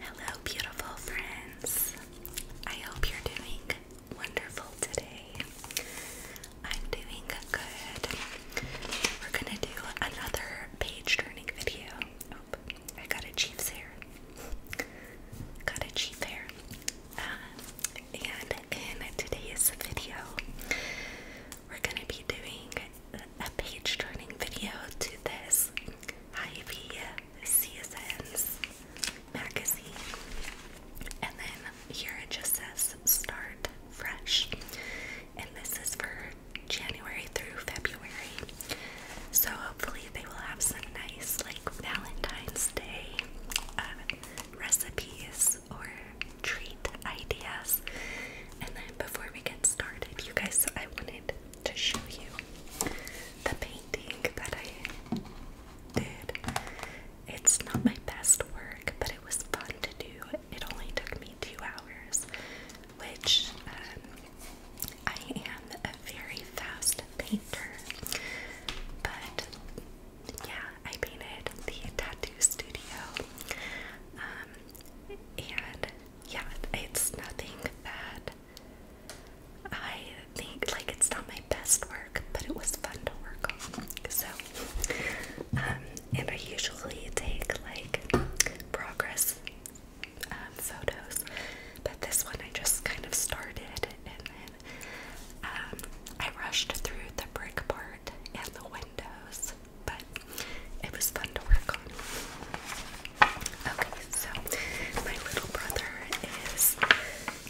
Hello, beautiful friends. I hope you're doing wonderful today. I'm doing good. We're gonna do another page turning video. Oh, I got a chief's hair. Got a chief hair. Uh, and in today's video, we're gonna be doing a page turning video to this Ivy CSN's magazine. And then here it just says start fresh. And this is for January through February. So hopefully they will have some nice like Valentine's Day uh, recipes or treat ideas. And then before we get started, you guys, I wanted to show you the painting that I did. It's not my best work, but it was fun to do. It only took me two hours, which um, I am a very fast painter. But yeah, I painted the tattoo studio. Um, and yeah, it's nothing that I think like it's not my best work, but it was fun to work on. So, um, and I usually take like progress um, photos, but this one I just kind of started and then um, I rushed through the brick part and the windows but it was fun to work on. Okay, so my little brother is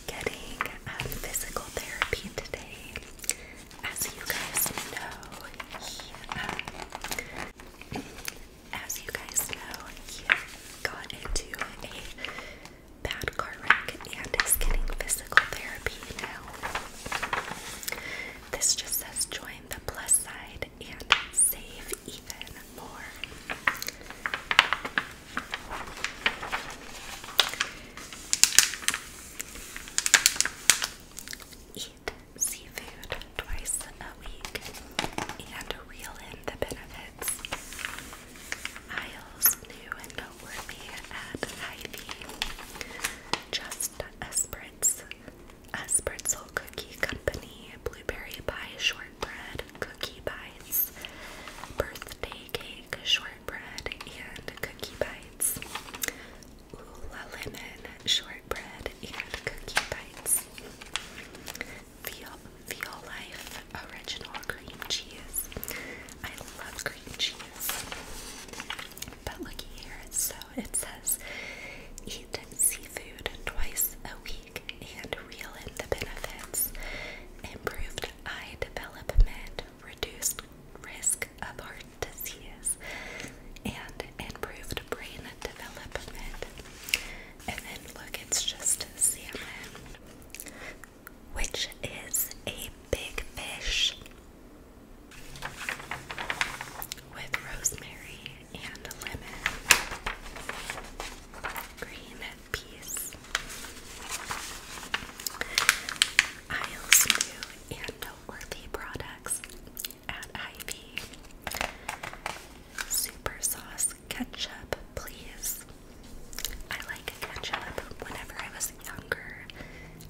getting physical therapy today. As you guys know, he, um, as you guys know, he got into a bad car wreck and is getting physical therapy now. This just says join the plus side and save even more. Eat seafood twice a week and reel in the benefits. Isles new noteworthy at Ivy. Just a spritz a Espertzel Cookie Company, Blueberry Pie Shortbread, Cookie Bites, Birthday Cake Shortbread, and Cookie Bites, Ula Lemon Shortbread, and Cookie Bites, Veal, Veal Life Original Cream Cheese. I love cream cheese. But looky here, it's so it says eat seafood twice a week and reel in the benefits. Improved eye development, reduced risk of heart disease, and improved brain development. And then look, it's just salmon, which is a big fish with rosemary and lemon green peas, Isles new and noteworthy products at Ivy. Super sauce ketchup, please. I like ketchup. Whenever I was younger,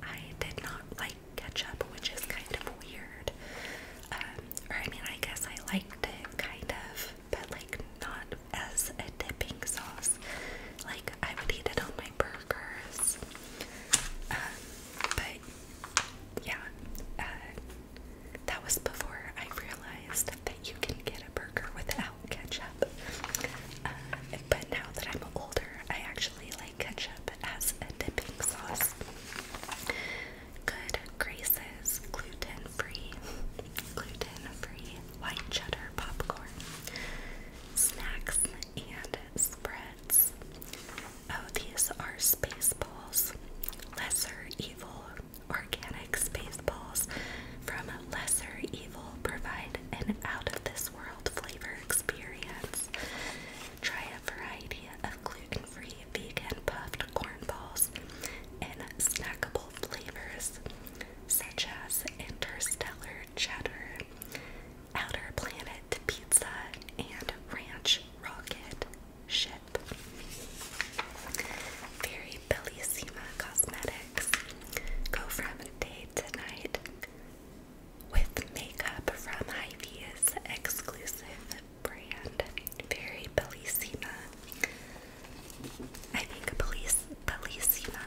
I did not like ketchup, which is kind of weird. Um, or I mean, I guess I liked it kind of, but like not as a dipping sauce. Like I would eat it on my burgers. Um, but yeah, uh, that was before I realized that you can get a burger without ketchup. Uh, but now that I'm older, I actually like ketchup as a dipping sauce good graces gluten-free gluten-free white cheddar popcorn snacks and spreads oh these are space balls lesser evil organic space balls from lesser evil provide an out of this world flavor experience Try a variety of gluten-free vegan puffed corn balls in snackable flavors such as interstellar cheddar, outer planet pizza, and ranch rocket ship. Very Bellissima Cosmetics. Go from day to night with makeup from hy exclusive brand, very Bellissima. I think Belliss Bellissima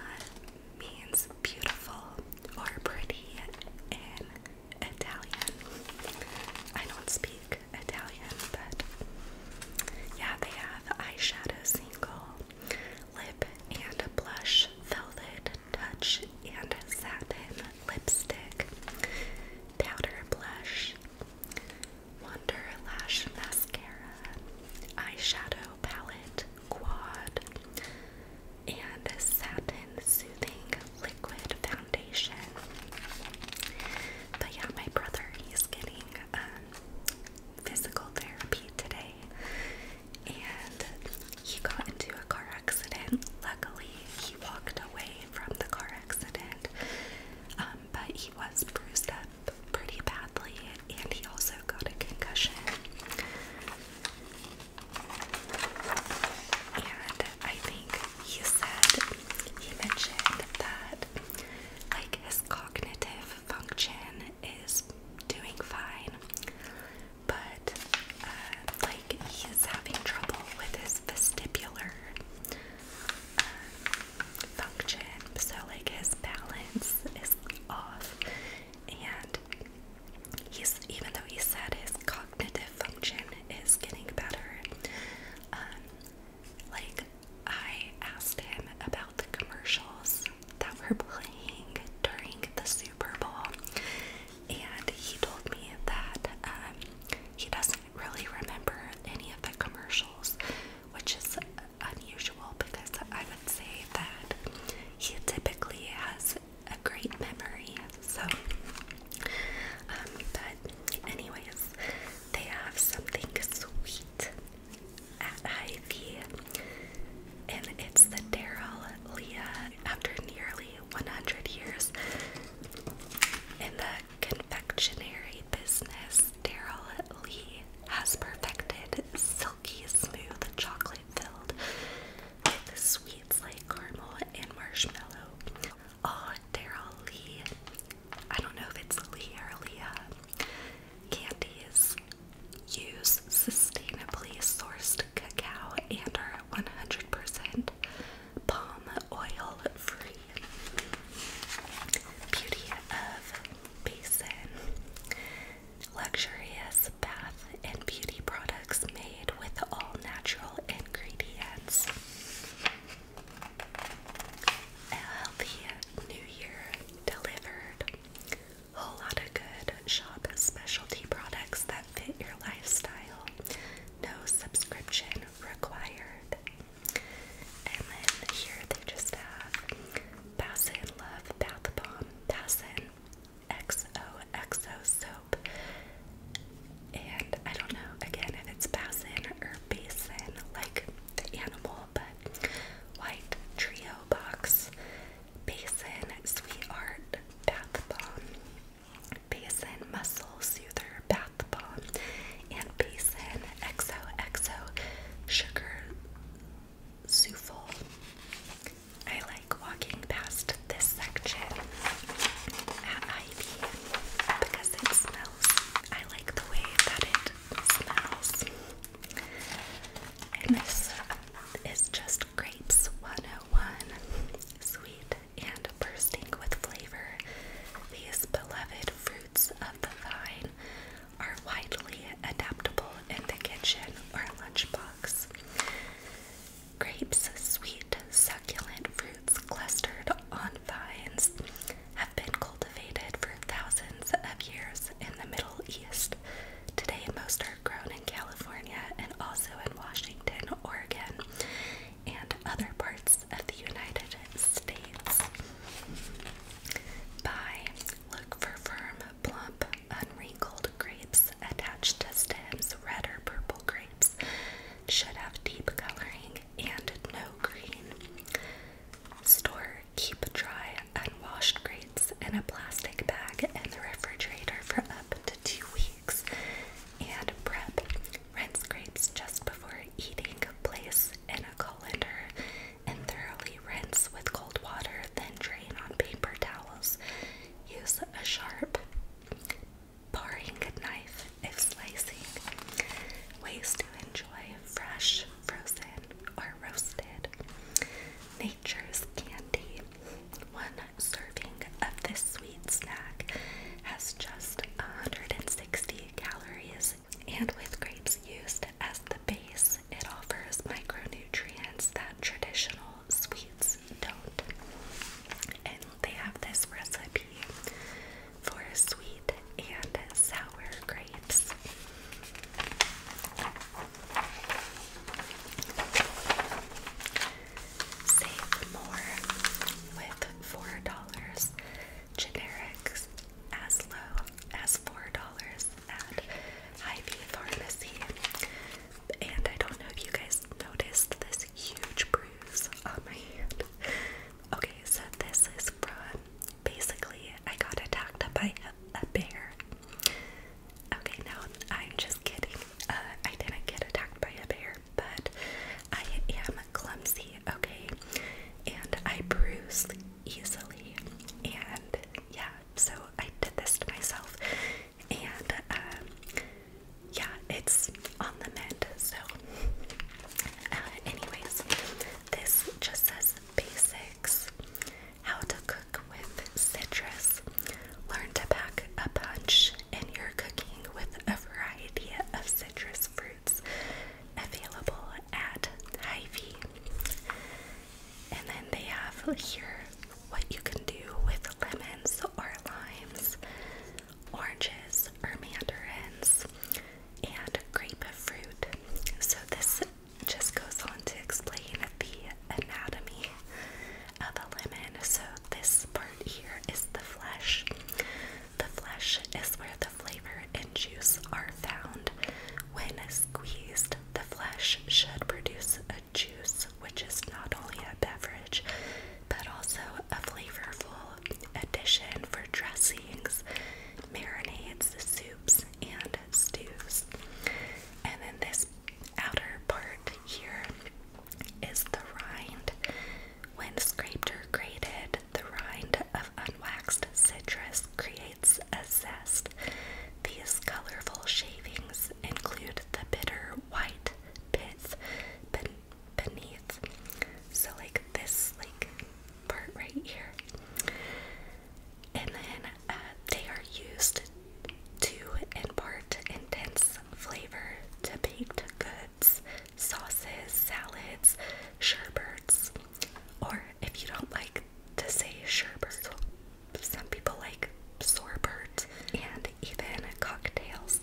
means beautiful or pretty in Italian. I don't speak Italian, but yeah, they have eyeshadow single, lip and blush, velvet touch and satin lipstick, powder blush, Wonder Lash Mascara, Eyeshadow Palette Quad, and Satin Soothing Liquid Foundation. But yeah, my brother, he's getting um, physical therapy today, and he got into a car accident. Luckily, he walked away from the car accident, um, but he was bruised up pretty badly and he also got a concussion. And I think he said, he mentioned that like his cognitive function is doing fine, but uh, like he's having trouble with his vestibular function. So, like, his balance is off, and he's even though he said his cognitive function is getting better, um, like, I asked him about the commercials that were playing during the Super Bowl, and he told me that um, he doesn't really remember any of the commercials, which is unusual because I would say that he typically has a great memory. So, um, but anyways, they have something sweet at Hy-Vee, and it's the Daryl Leah after nearly 100 years. And the confectionery business Daryl Lee has perfected silky smooth chocolate filled with sweets like caramel and marshmallow. Oh, Daryl Lee. I don't know if it's Lee or Leah. Candies use sustainably sourced cacao and are 100% palm oil free. Beauty of Basin. Luxurious bath and beauty products made with all natural ingredients. A healthy new year delivered. Whole lot of good shop specialty products that fit your lifestyle. No subscription required. And then here they just have Bassin Love Bath Bomb, Bassin XOXO Soap. And I don't know again if it's Basin or Basin, like the animal, but White Trio Box, Basin Sweet Art Bath Bomb. Basin Muscle Soother Bath Bomb and Basin exo Sugar Souffle. I like walking past this section at Ivy because it smells. I like the way that it smells. And this is just Grapes 101 Sweet and bursting with flavor, these beloved fruits of the vine are widely adaptable in the kitchen or lunchbox. Grapes, sweet, succulent fruits clustered on vines, have been cultivated for thousands of years in the Middle East. Today, most are grown in California and also in Washington, Oregon, and other parts of the United States. Buy, look for firm, plump, unwrinkled grapes attached stems, red purple grapes. Should have deep coloring and no green. Store, keep dry, unwashed grapes in a plastic bag in the refrigerator for up to two weeks. And prep, Rinse grapes just before eating, place in a colander, and thoroughly rinse with cold water, then drain on paper towels. Use a sharp paring knife if slicing. Ways to enjoy fresh, frozen, or roasted. Nature's candy. One serving of this sweet snack has just 160 calories, and with grapes used as the base, it offers micronutrients that traditional sweets don't. And they have this recipe for sweet and sour grapes. Save more with $4 generics as low as $4 at Hy-Vee Pharmacy. And I don't know if you guys noticed this huge bruise on my hand. Okay, so this is from basically I got attacked by a, bear. Okay, no, I'm just kidding. Uh, I didn't get attacked by a bear, but I am clumsy okay? And I bruise easily. And yeah, so I did this to myself. And um, yeah, it's on the mend. So, uh, anyways, this just says basics how to cook with citrus, learn to pack a punch in your cooking with a variety of citrus fruit available at hy And then they have here what you can do with lemons or limes, oranges or mandarins, and grapefruit. So this just goes on to explain the anatomy of a lemon. So this part here is the flesh. The flesh is where the flavor and juice are found. When squeezed, the flesh should produce a juice, which is not only a beverage, but also a flavorful addition for dressings, marinades, soups, and stews. And then this outer part here is the rind. When scraped or grated, the rind of unwaxed citrus creates a zest. These colorful shavings include the bitter white pith beneath. So like this like part right here. And then uh, they are used to impart intense flavor to baked goods sauces, salads, sherbets. Or if you don't like to say sherbet, some people like sorbet and even cocktails.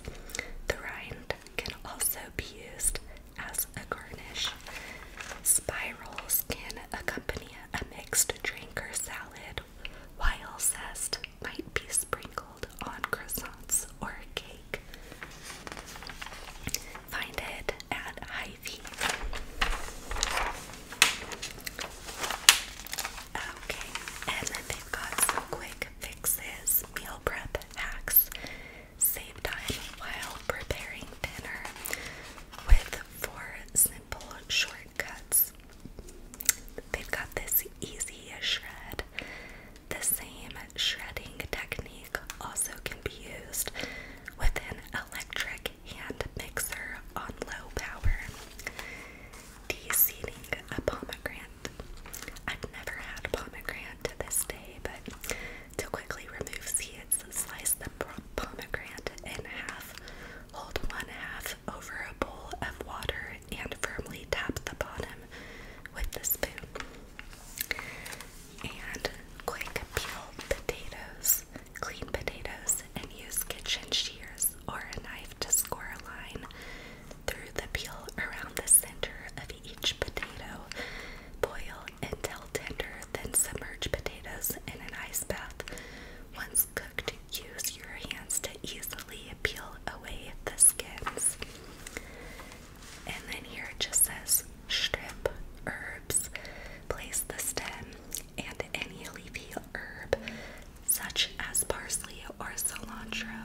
The rind can also be used as a garnish. Spirals can accompany a mixed drink or salad, while zest might be sprinkled on croissants or cake. Find it at hy Okay, and then they've got some quick fixes, meal prep hacks, save time while preparing dinner with four simple shortcuts. They've got this easy shred the same shredding technique also can be used with an electric hand mixer on low power. Deseeding a pomegranate. I've never had pomegranate to this day, but to quickly remove seeds, slice the pomegranate in half, hold one half over a bowl of water, and firmly tap the bottom with the spoon. And quick peel potatoes, clean potatoes, and use kitchen shears or a knife to score a line through the peel around the center of each potato. Boil until tender, then submerge potatoes in an ice bath. Once cooked, use your hands to easily peel away the skins. And then here it just says strip herbs. Place the stem and any leafy herb, such as parsley or cilantro.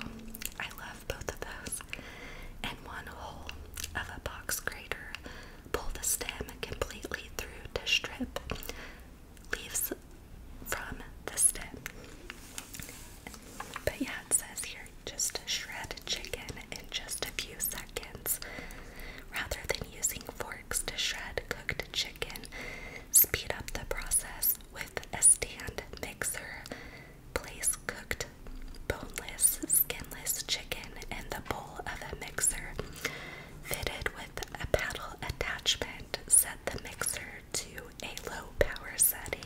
I love both of those. And one hole of a box grater. Pull the stem completely through to strip leaves from the stem. But yeah, it says here just shred chicken in just a few seconds. Rather than using forks to shred cooked chicken, speed up the process with a stand mixer. Place cooked boneless, skinless chicken in the bowl of a mixer. Fitted with a paddle attachment, set the mixer to a low power setting.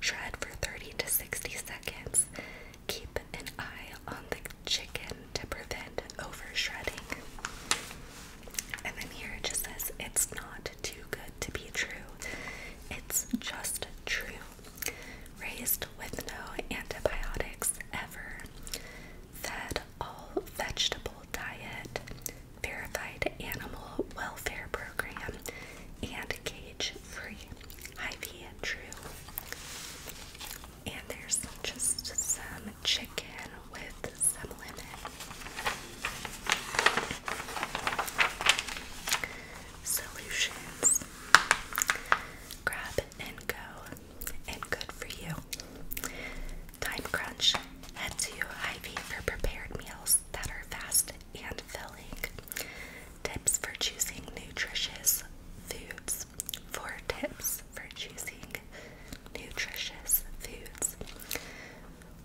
Shred for 30 to 60 seconds. Keep an eye on the chicken to prevent over shredding. And then here it just says it's not too good to be true. It's just true. Raised with no antibiotics ever. Fed all vegetable diet. Verified animal welfare program. And cage free Ivy and True. And there's just some chicken with some lemon. Solutions. Grab and go. And good for you. Time crunch. Head to Ivy for prepared meals that are fast and filling. Tips for choosing nutritious foods. Four tips for choosing nutritious foods.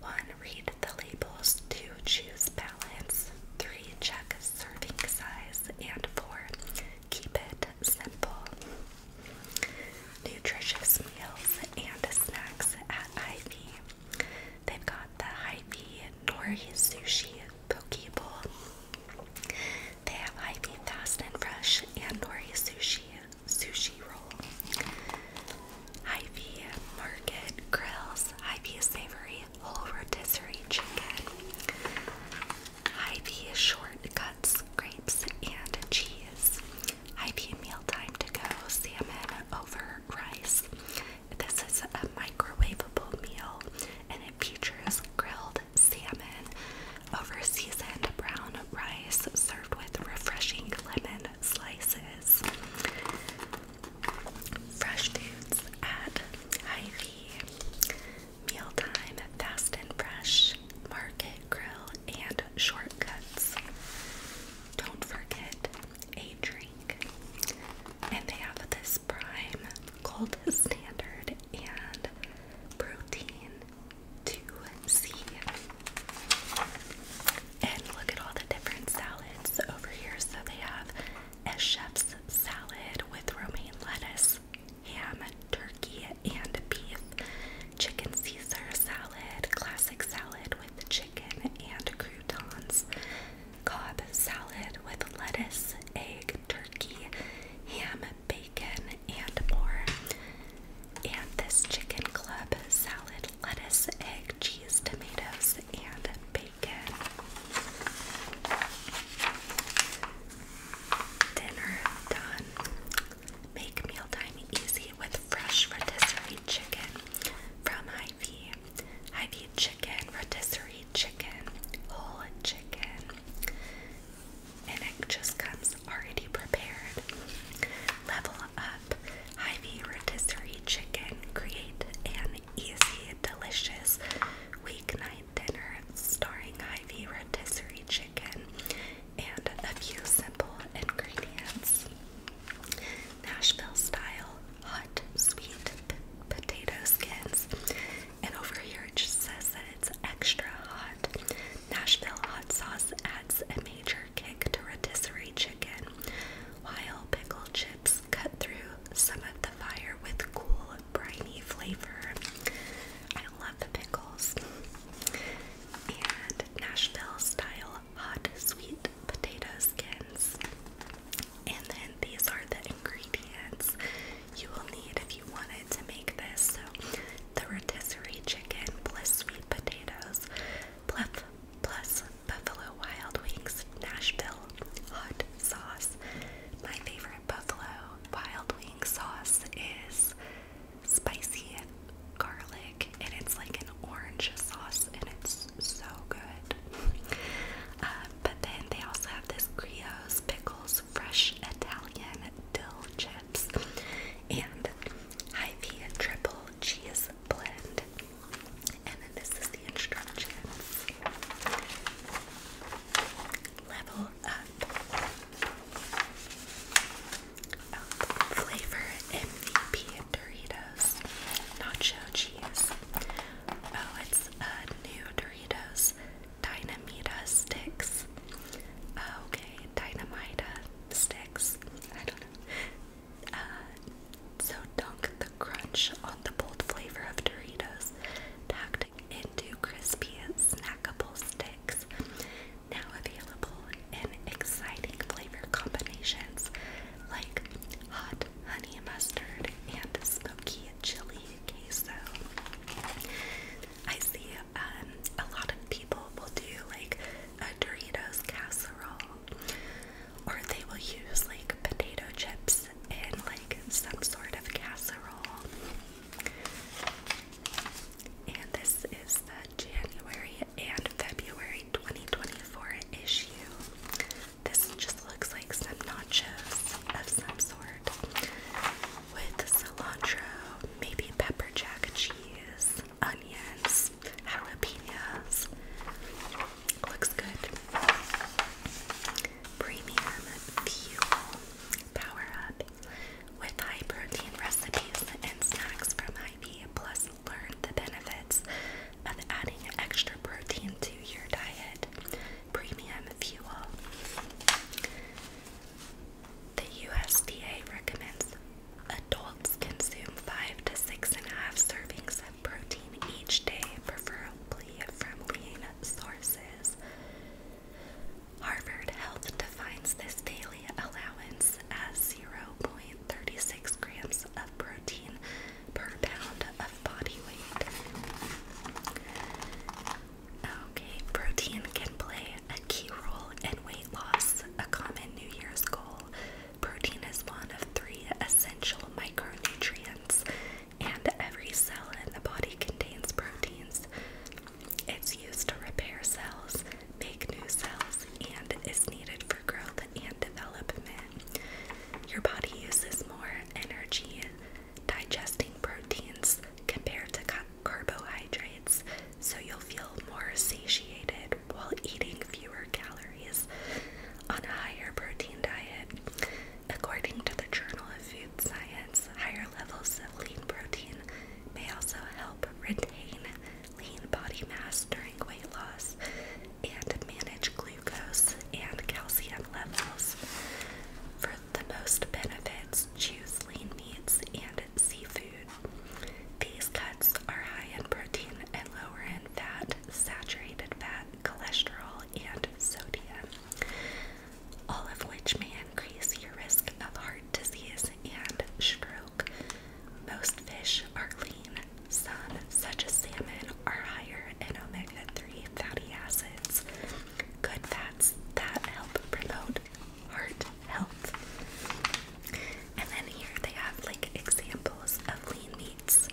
One, read the labels. Two, choose balance. Three, check serving size. And four, keep it simple. Nutritious meals and snacks at Ivy. They've got the Hypee Nori Sushi Poke Bowl. They have Hypee Fast and Fresh and Nori Sushi Sushi Roll. Hypee Market Grills, Hypee Savory Whole Rotisserie Chicken, Hypee Shortcuts Grapes and Cheese, Hypee Mealtime To Go Salmon Over Rice, this is a microwavable meal and it features grilled salmon over seasoned brown rice served with refreshing lemon slices. Fresh foods at Hy-Vee. Mealtime, fast and fresh, market grill, and shortcuts. Don't forget a drink. And they have this prime, cold, is standard, and protein 2C. And look at all the different salads over here. So they have a chef's salad with romaine lettuce, ham, turkey, and beef, chicken Caesar salad, classic salad with chicken and croutons, cob salad with lettuce, egg, turkey, ham, bacon, and more. And this chicken club salad, lettuce, egg, cheese, tomatoes, and bacon. Dinner done. Make mealtime easy with fresh rotisserie chicken from High Hy-Vee, chicken, rotisserie chicken, whole chicken, and it just comes already prepared. Level up Hy-Vee rotisserie chicken. Create an easy, delicious weeknight dinner starring Hy-Vee rotisserie chicken and a few simple ingredients. Nashville style hot sweet potato skins. And over here it just says that it's extra hot. Nashville hot sauce adds a major kick to rotisserie chicken, while pickled chips cut through some of the fire with cool, briny flavor. I love the pickles. And Nashville style hot sweet potato skins. And then these are the ingredients you will need if you wanted to make this. So the rotisserie chicken plus sweet potatoes plus, plus buffalo wild wings, Nashville hot sauce. My favorite buffalo wild wings sauce is spicy garlic and it's like an orange sauce and it's so good. Uh, but then they also have this Creo's Pickles Fresh Italian Dill Chips and Ivy vee Triple Cheese Blend. And then this is the instructions. Level up. flavor MVP Doritos. Nacho cheese. Oh, it's uh, new Doritos Dynamita sticks. Oh, okay, Dynamita sticks. I don't know. Uh, so dunk the crunch on the bold flavor of Doritos, packed into crispy snackable sticks. Now available in exciting flavor combinations like hot hot honey mustard and smoky chili queso. I see um, a lot of people will do like a Doritos casserole, or they will use like potato chips in like some sort of casserole. And this is the January and February 2024 issue this just looks like some nachos of some sort with cilantro, maybe pepper jack cheese, onions, jalapenos. Looks good. Premium fuel power up with high protein recipes and snacks from Ivy. Plus, learn the benefits of adding extra protein to your diet. Premium fuel. The USDA recommends adults consume five to six and a half servings of protein each day, preferably from lean sources. Harvard Health defines this daily allowance as 0.36 grams of protein per pound of body weight. Okay, protein can play a key role in weight loss, a common New Year's goal. Protein is one of three essential micronutrients, and every cell in the body contains proteins. It's used to repair cells, make new cells, and is needed for growth and development. Your body uses more energy digesting proteins compared to carbohydrates, so you'll feel more satiated while eating fewer calories on a higher protein diet. According to the Journal of Food Science, higher levels of lean protein may also help retain lean body mass during weight loss, and manage glucose and calcium levels. For the most benefits, choose lean meats and seafood. These cuts are high in protein and lower in fat, saturated fat, cholesterol, and sodium, all of which may increase your risk of heart disease and stroke. Most fish are lean. Some, such as salmon, are higher and omega 3 fatty acids. Good fats that help promote heart health. And then here they have like examples of lean meats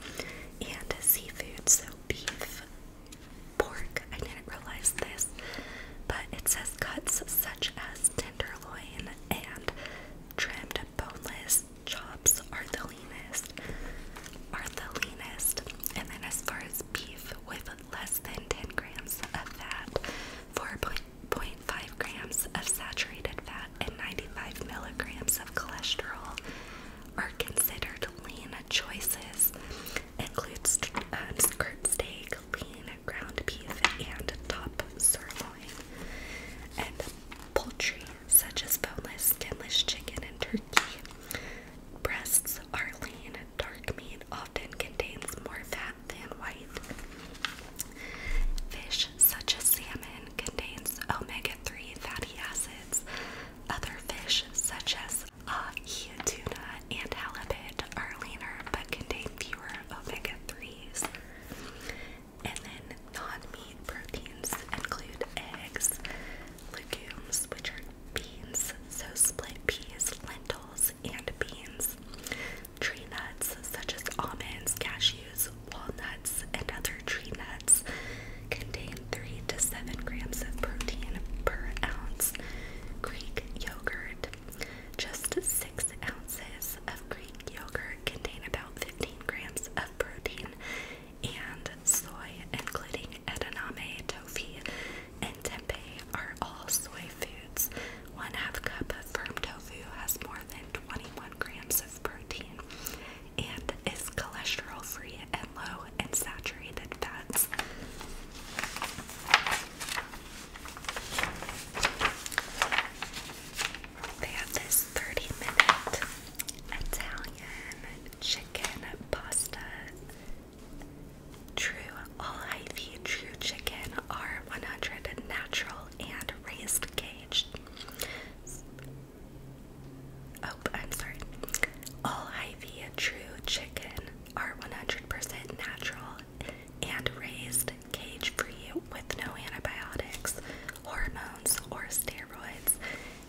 and seafood. So beef, pork. I didn't realize this, but it says cuts such as tenderloin and trimmed boneless chops are the leanest are the leanest. And then as far as beef with less than 10 grams of fat, 4.5 grams of saturated fat, and 95 milligrams of cholesterol are considered lean choices. Includes um, skirt steak, lean ground beef, and top sirloin. And poultry such as boneless, skinless chicken and turkey. Breasts are lean. Dark meat often contains more fat than white. Fish, such as salmon, contains omega 3 fatty acids. Other fish, such as uh, tuna, and halibut, are leaner but contain fewer omega 3s. And then non meat proteins include eggs, legumes, which are beans, so split peas, lentils, and beans, tree nuts such as almonds, cashews, walnuts, and other tree nuts contain 3 to 7 grams of protein per ounce. Greek yogurt. Just 6 ounces of Greek yogurt contain about 15 grams of protein and soy, including edamame, tofu, and tempeh, are all soy foods. One half cup of firm tofu has more than 21 grams of protein and is cholesterol free and low in saturated fats. They have this 30 minute Italian chicken pasta. True, all Ivy True Chicken are 100 natural and raised cage. Oh, I'm sorry. All Ivy True Chicken are 100% natural and raised cage free with no antibiotics, hormones, or steroids,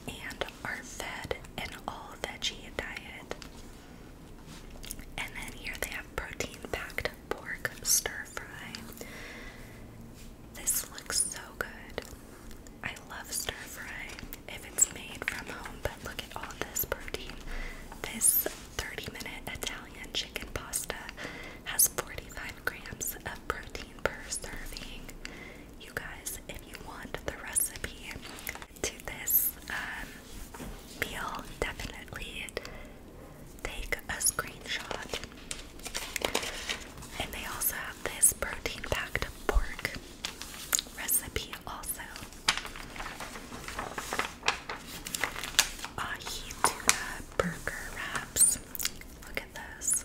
and are fed an all veggie diet. And then here they have protein packed pork stir fry. This looks so good. I love stir fry if it's made from home, but look at all this protein. This 30 minute Italian chicken pasta has 45 grams of protein per serving. You guys, if you want the recipe to this um, meal, definitely take a screenshot. And they also have this protein packed pork recipe, also. Ahi tuna burger wraps. Look at this.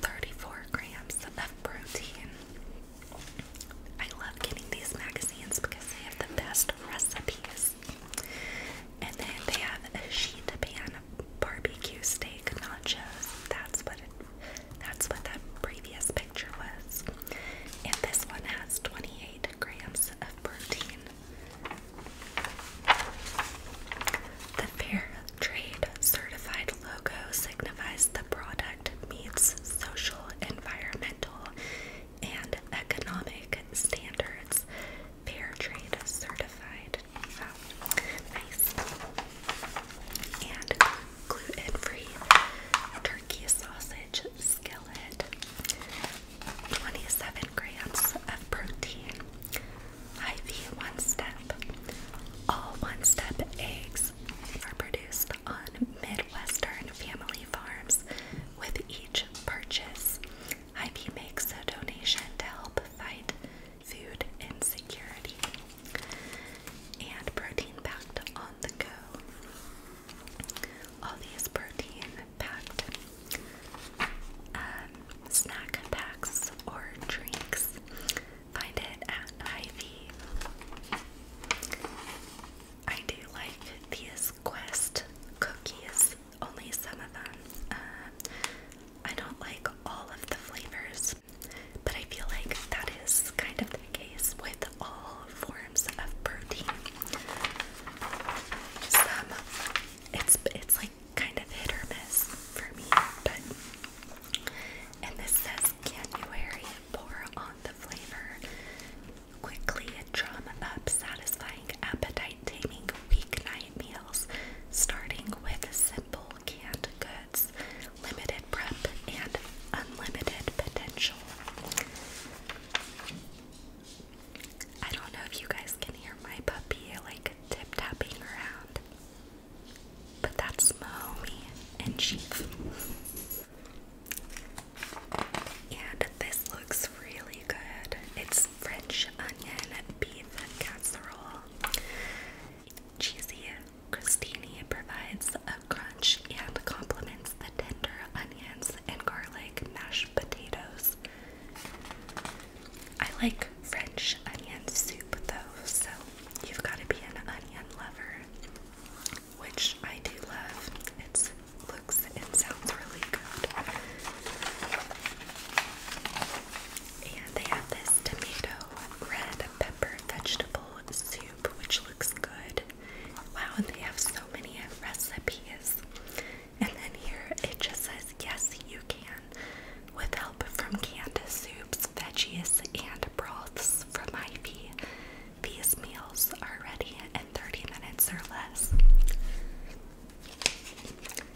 34 grams of protein. I love getting these magazines because they have the best recipes. And then they have a sheet pan barbecue steak nachos. That's what that previous picture was. And this one has 28 grams of protein. The fair Trade certified logo signifies the product meets social, environmental, and economic standards. Fair certified. Nice. And gluten free turkey sausage skillet. 27 grams of protein. IV one step. All one step eggs meals are produced on Midwestern family farms with each purchase. Hy-Vee makes a donation to help fight food insecurity and protein packed on the go. All these protein packed um, snack packs or drinks Find it at Ivy. I do like these Quest cookies, only some of them. Um, I don't like all of the flavors, but I feel like that is kind of the case with all forms of protein. Some, um, it's it's like kind of hit or miss for me, but and this says January pour on the flavor. Quickly drum up satisfying appetite taming weeknight meals, starting with simple canned goods, limited prep, and unlimited potential. I don't know if you guys can hear my puppy like tip tapping around. But that's Mahoney and Chief. And this looks really good. It's French onion beef casserole. Cheesy crostini provides a crunch and complements the tender onions and garlic mashed potatoes. I like French onion soup though, so you've got to be an onion lover, which I do love. It looks and sounds really good. And they have this tomato red pepper vegetable soup, which looks good. Wow, and they have so many recipes. And then here it just says, Yes, you can with help from canned soups, veggies, and broths from Ivy. These meals are ready in 30 minutes or less.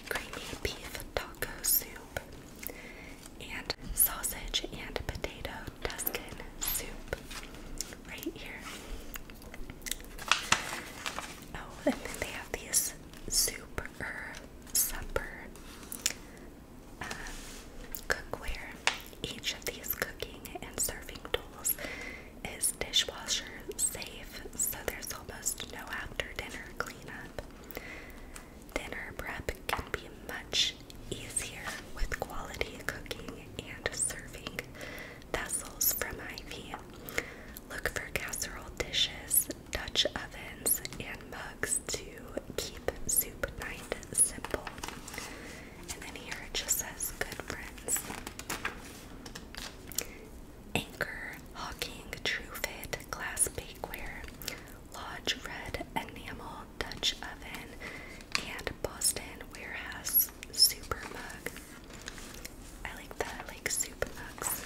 Creamy beef taco soup and sausage and potato Tuscan soup right here. Oh, and then they have these soup supper cookware. Each of these cooking and serving tools is dishwasher safe, so there's almost no after dinner cleanup. Dinner prep can be much easier with quality cooking and serving vessels from Ivy. Look for casserole dishes, Dutch ovens, and mugs to keep soup night simple. And then here it just says good friends. Anchor, Hawking, True Glass Bakeware, Lodge Red Enamel, Dutch Oven, and Boston Warehouse Super Mug. I like the like soup mugs.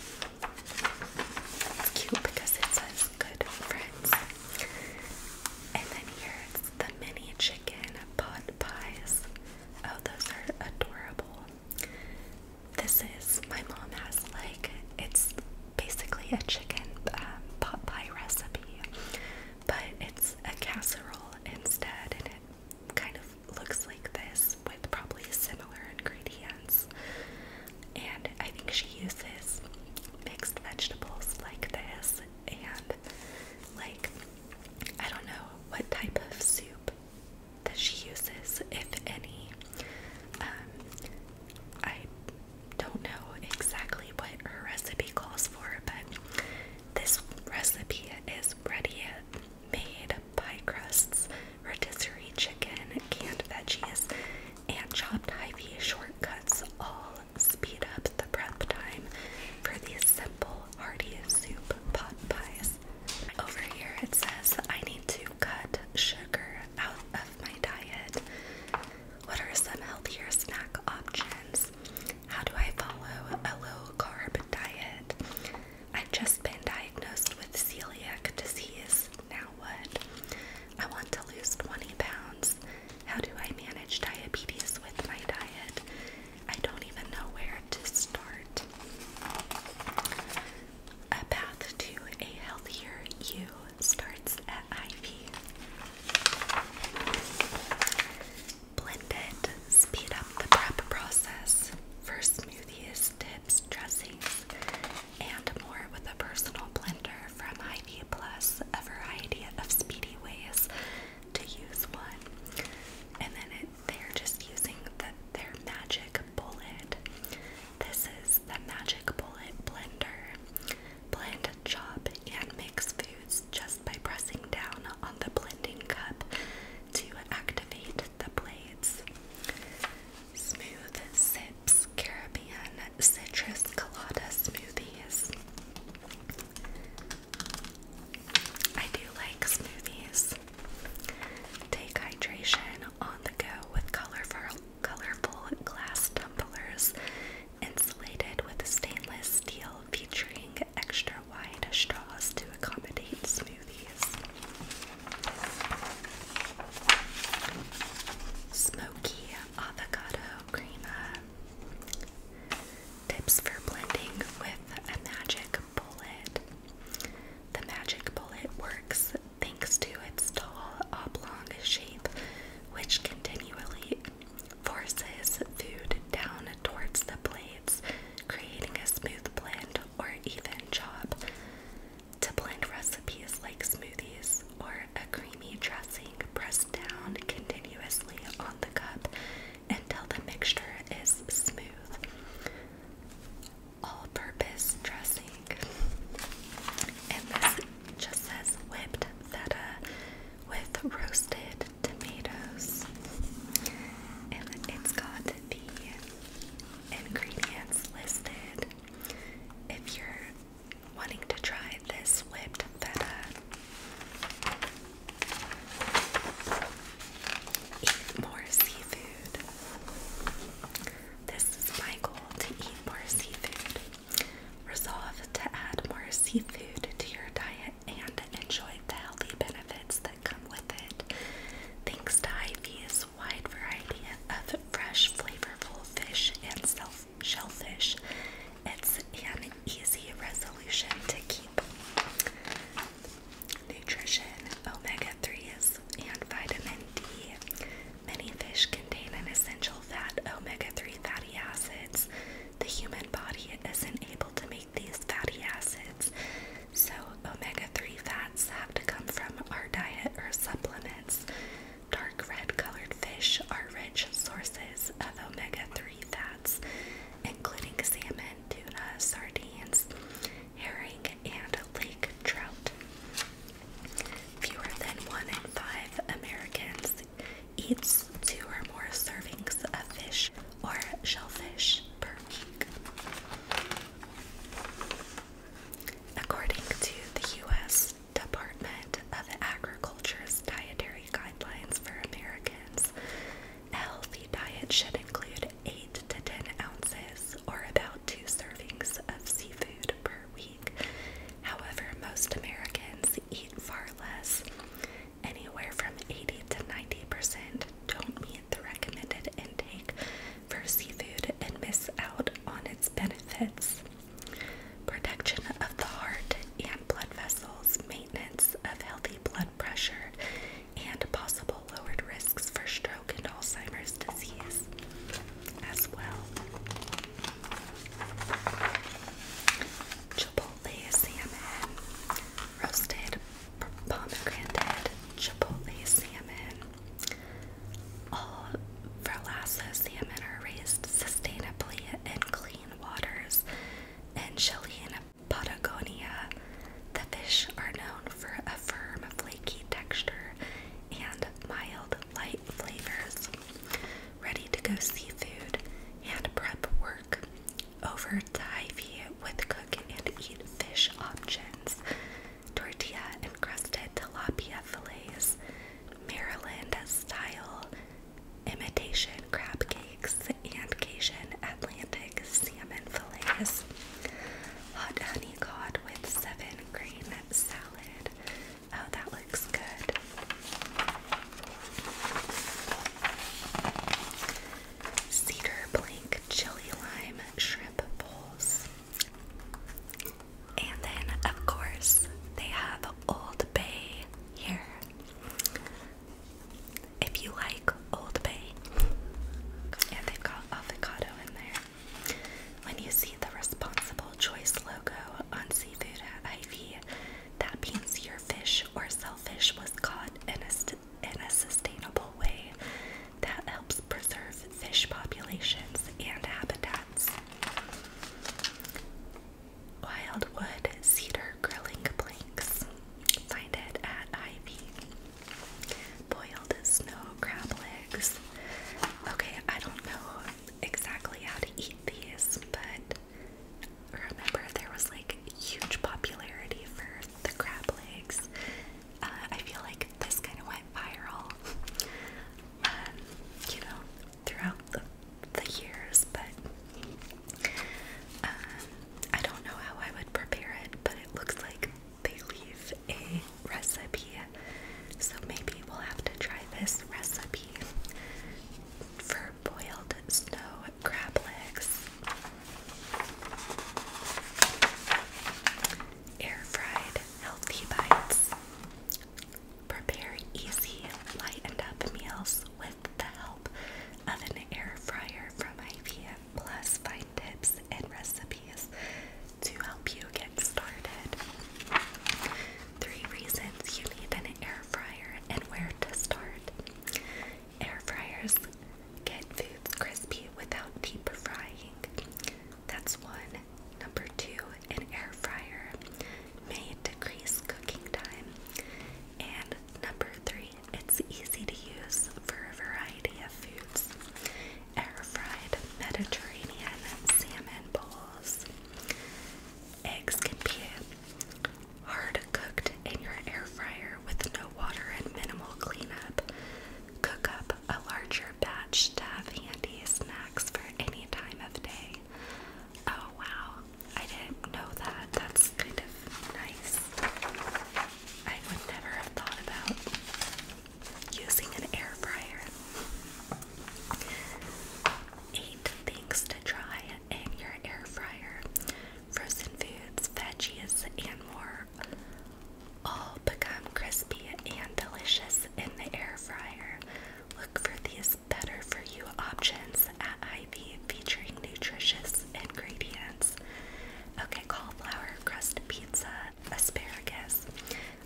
cute because it says good friends. And then here's the mini chicken pot pies. Oh, those are adorable. This is, my mom has like, it's basically a chicken um, pot pie recipe, but it's a casserole instead, and it kind of looks like this with probably similar ingredients and I think she uses mixed vegetables like this and like I don't know what type of soup that she uses, if any. Um, I don't know exactly what her recipe calls for, but this recipe is ready made pie crusts, rotisserie chicken, canned veggies, and chopped hy shortcuts all speed up the prep time for these simple hearty soup pot pies. Over here it says I need to cut sugar out of my diet. What are some healthier snack options? How do I follow a low carb diet? I've just been diagnosed with celiac disease. Now what? I want to lose 20 pounds. How do I manage diabetes with my diet? I don't even know where to start. A path to a healthier you starts at Ivy. Blend it, speed up the prep process for smoothies, dips, dressings, and more with a personal blender from hy Plus a variety of speedy ways to use one. And then they're just using the, their Magic Bullet. This is the Magic Bullet Blender. Blend, chop, and mix foods just by pressing down on the blending cup to activate the blades. Smooth Sips Caribbean citrus colada smoothies. I do like smoothies. Take hydration on the go with colorful, colorful glass tumblers insulated with stainless steel featuring extra wide straws to accommodate smoothies. Smoky avocado uh, tips for blending with a magic bullet. The magic bullet works thanks to its tall oblong shape, which continually forces food down towards the blades, creating a smooth blend or even chop. To blend recipes like smoothies, or a creamy dressing press down continuously on the cup until the mixture is smooth. All purpose dressing. And this just says whipped feta with roasted tomatoes. And it's got the ingredients listed. If you're wanting to try this whipped feta. Eat more seafood. This is my goal to eat more seafood. Resolve to add more seafood to your diet and enjoy the healthy benefits that come with it. Thanks to Ivy's wide variety of fresh, flavorful fish and self shellfish. It's an easy resolution to keep. Nutrition omega 3s and vitamin D. Many fish contain an essential fat, omega 3 fatty acids. The human body isn't able to make these fatty acids, so omega 3 fats have to come from our diet or supplements. Dark red colored fish are rich sources of omega 3 fats, including salmon, tuna, sardines, herring, and lake trout. Fewer than one in five Americans eats two or more servings of fish or shellfish per week. According to the U.S. Department of Agriculture's Dietary Guidelines for Americans, a healthy diet should include 8 to 10 ounces, or about 2 servings of seafood per week. However, most Americans eat far less. Anywhere from 80 to 90% don't meet the recommended intake for seafood and miss out on its benefits. Protection of the heart and blood vessels, maintenance of healthy blood pressure, and possible lowered risks for stroke and Alzheimer's disease as well. Chipotle salmon, roasted pomegranate, chipotle salmon. All Verlassa salmon are raised sustainably and clean waters in Chilean Patagonia. The fish are known for a firm, flaky texture and mild, light flavors. Ready to go seafood, and prep work, over divey with cook and eat fish options, tortilla encrusted tilapia fillets, Maryland style imitation crab cakes, and Cajun Atlantic salmon fillets, hot honey cod with seven grain salad. Oh, that looks good. Cedar plank chili lime shrimp bowls. And then, of course, they have Old Bay here. If you like Old Bay, and they've got avocado in there. When you see the responsible choice logo on seafood at Ivy, that means your fish or shellfish was caught in a, in a sustainable way that helps preserve fish populations and habitats. Wildwood Cedar Grilling Planks. Find it at Ivy. Boiled snow crab legs. Okay, I don't know exactly how to eat these, but remember there was like huge popularity for the crab legs. Uh, I feel like this kind of went viral. Um, you know, throughout the, the years, but um, I don't know how I would prepare it, but it looks like they leave a recipe, so maybe we'll have to try this recipe for boiled snow crab legs. Air fried healthy bites. Prepare easy, lightened up meals with the help of an air fryer from IBM. Plus, find tips and recipes to help you get started. Three reasons you need an air fryer and where to start. Air fryers get foods crispy without deep frying. That's one. Number two, an air fryer may decrease cooking time. And number three, it's easy to use for a variety of foods. Air fried Mediterranean salmon bowls. Eggs can be hard cooked in your air fryer with no water and minimal cleanup. Cook up a larger batch to have handy snacks for any time of day. Oh wow, I didn't know that. That's kind of nice. I would never have thought about using an air fryer. Eight things to try in your air fryer frozen foods, veggies, and more all become crispy and delicious in the air fryer. Look for these better for you options at Ivy featuring nutritious ingredients. Okay, cauliflower crust pizza, asparagus.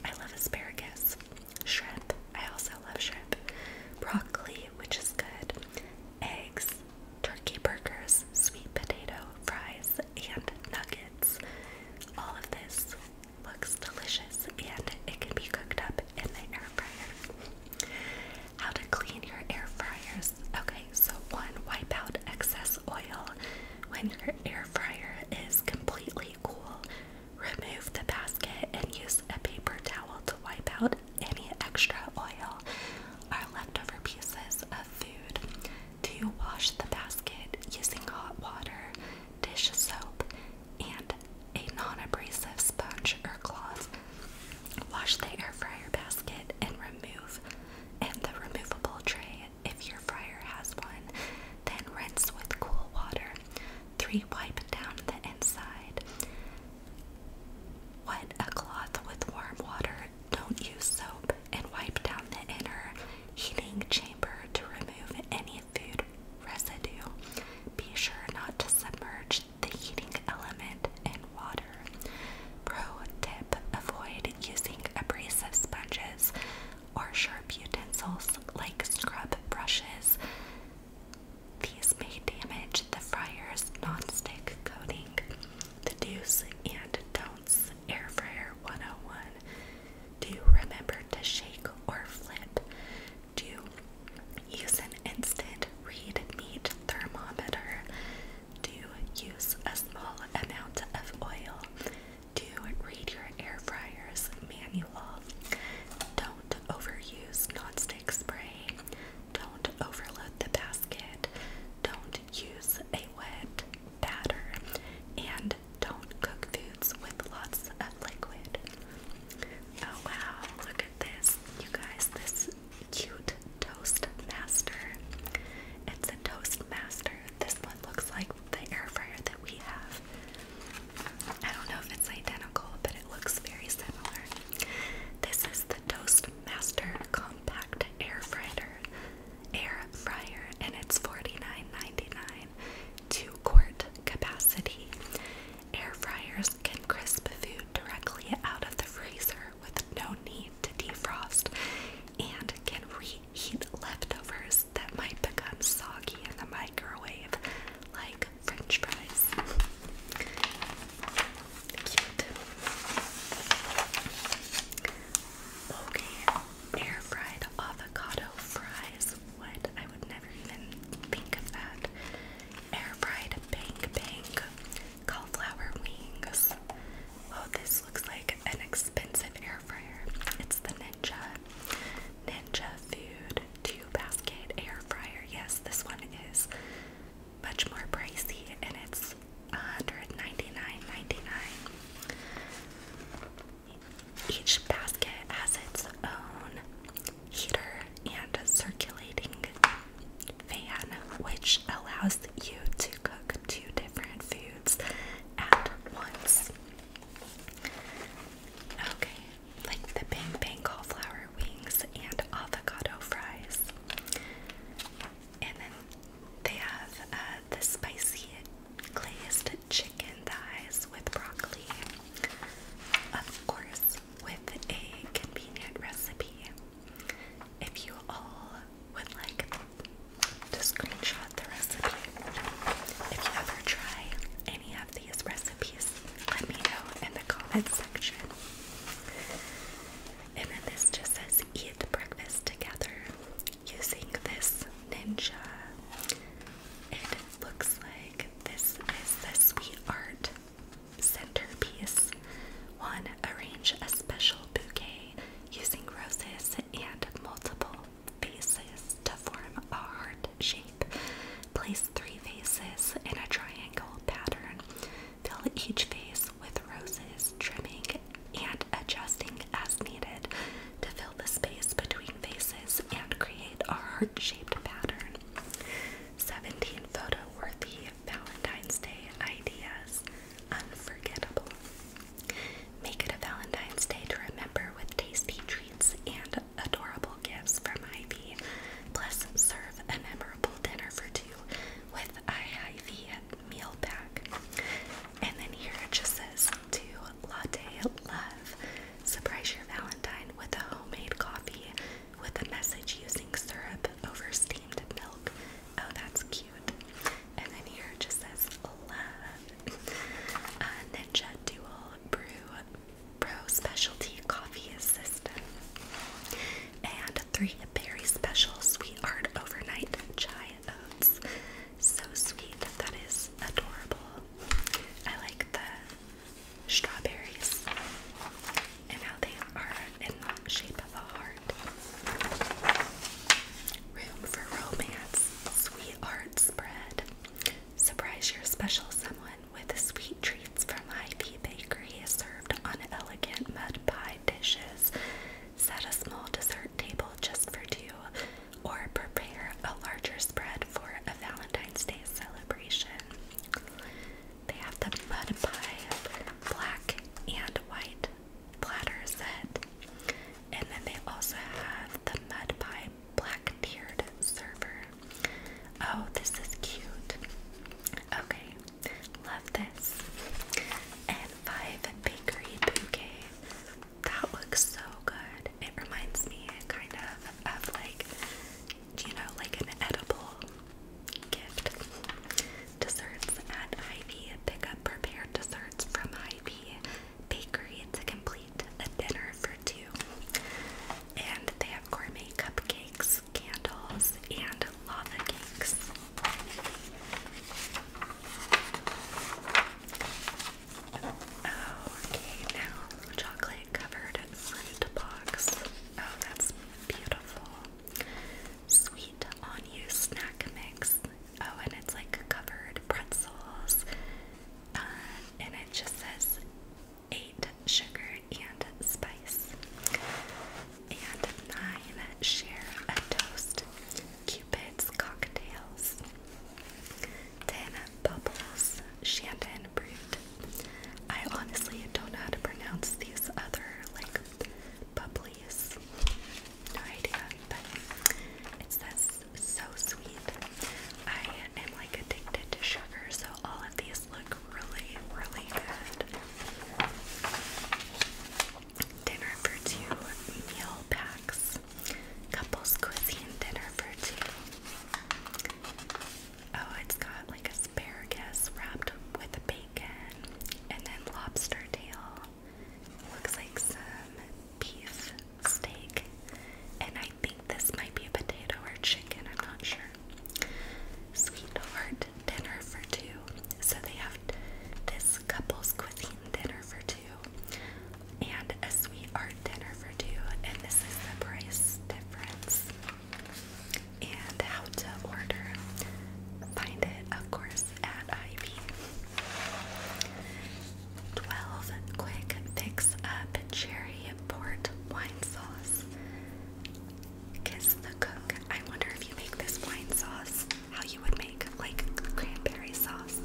I love asparagus. Shrimp. I also love shrimp. Broccoli, which is good. Eggs, turkey burgers, sweet potato, fries, and nuggets. All of this looks delicious and it can be cooked up how to clean your air fryers. Okay, so one, wipe out excess oil. When your air fryer is completely cool, remove the basket and use a paper towel to wipe out any extra oil or leftover pieces of food. To wash the basket using hot water, dish soap, and a non-abrasive sponge or cloth. Wash the air fryer basket and remove and the removable tray if your fryer has one. Then rinse with cool water. 3. Wipe down the inside. Wet a cloth with warm water. Don't use soap and wipe down the inner heating chamber to remove any food residue. Be sure not to submerge the heating element in water. Pro tip avoid using abrasive sponges or sharp utensils like scrub brushes. These may damage the fryer's nonstick coating. The do's and don'ts air fryer 101. Do remember to shake or flip. 2. Use an instant read meat thermometer. 2. Use a small amount of oil. Do Read your air fryer's manual. Don't overuse nonstick spray. Don't overload the basket. Don't use a wet batter. And don't cook foods with lots of liquid. Oh wow, look at this. You guys, this cute toast master. It's a toast master. This one looks like the air fryer that we have. I don't know if it's identical, but it looks very similar. This is the Toastmaster Compact Air Fryer. Air fryer and it's $49.99. Two quart capacity. Air fryers can crisp food directly out of the freezer with no need to defrost and can reheat leftovers that might become soggy in the microwave, like french fries. Cute. Okay, air fried avocado fries. What? I would never even think of that air fried bank bank cauliflower wings. Oh, this looks like an expensive air fryer. It's the Ninja Ninja Food Two Basket Air Fryer. Yes, this one is much more pricey, and it's $199.99. Each basket has its own heater and a circulating fan, which allows you to cook two different foods at once. Okay, like the Bang Bang cauliflower wings and avocado fries. And then they have uh, the spicy glazed chicken thighs with broccoli. Of course, with a convenient recipe. If you all would like to screenshot the recipe, if you ever try any of these recipes, let me know in the comment section. And then this just says eat breakfast together using this ninja. It looks like this is the sweet art centerpiece. One, arrange a special bouquet using roses and multiple vases to form a heart shape. Place three vases in a triangle pattern. Fill each vase with roses, trimming and adjusting as needed to fill the space between vases and create a heart shaped pattern. 17 photo worthy Valentine's Day ideas. Unforgettable. Make it a Valentine's Day to remember with tasty treats and adorable gifts from Ivy. Plus, serve a memorable dinner for two with Ivy meal pack. And then here it just says to latte love. Surprise your Valentine with a homemade coffee with a message using syrup over steamed milk. Oh, that's cute. And then here it just says love. Uh, Ninja Dual Brew Pro Specialty Coffee Assistant And three berry special sweetheart overnight chai oats. So sweet. That is adorable. I like the strawberries and how they are in the shape of a heart. Room for romance, sweetheart spread. Surprise your special someone with sweet treats from Ivy Bakery served on elegant mud pie dishes. Set a small dessert table just for two, or prepare a larger spread for a Valentine's Day celebration. They have the mud black and white platter set. And then they also have the mud pie black tiered server. Oh, this is cute. Okay, love this. And five bakery bouquet. That looks so good. It reminds me kind of of like you know, like an edible gift. Desserts at Hy-Vee. Pick up prepared desserts from IV vee Bakery to complete a dinner for two. And they have gourmet cupcakes, candles, and lava cakes. Oh, okay, now chocolate covered fruit box. Oh, that's beautiful. Sweet on you snack mix. Oh, and it's like covered pretzels. Uh, and it just says eight sugar and spice. And nine share a toast. Cupid's cocktails. Ten Bubbles Shandon Brute. I honestly don't know how to pronounce these other like bubbly's. No idea, but it says so sweet. I am like addicted to sugar, so all of these look really, really good. Dinner for two meal packs. Couples cuisine dinner for two. Oh, it's got like asparagus wrapped with bacon and then lobster tail. Looks like some beef steak. And I think this might be a potato or chicken, I'm not sure. Sweetheart dinner for two. So they have this couple's cuisine dinner for two and a sweetheart dinner for two. And this is the price difference and how to order. Find it, of course, at Ivy. 12 Quick Fix Up Cherry Port Wine Sauce. Kiss the cook. I wonder if you make this wine sauce, how you would make like cranberry sauce.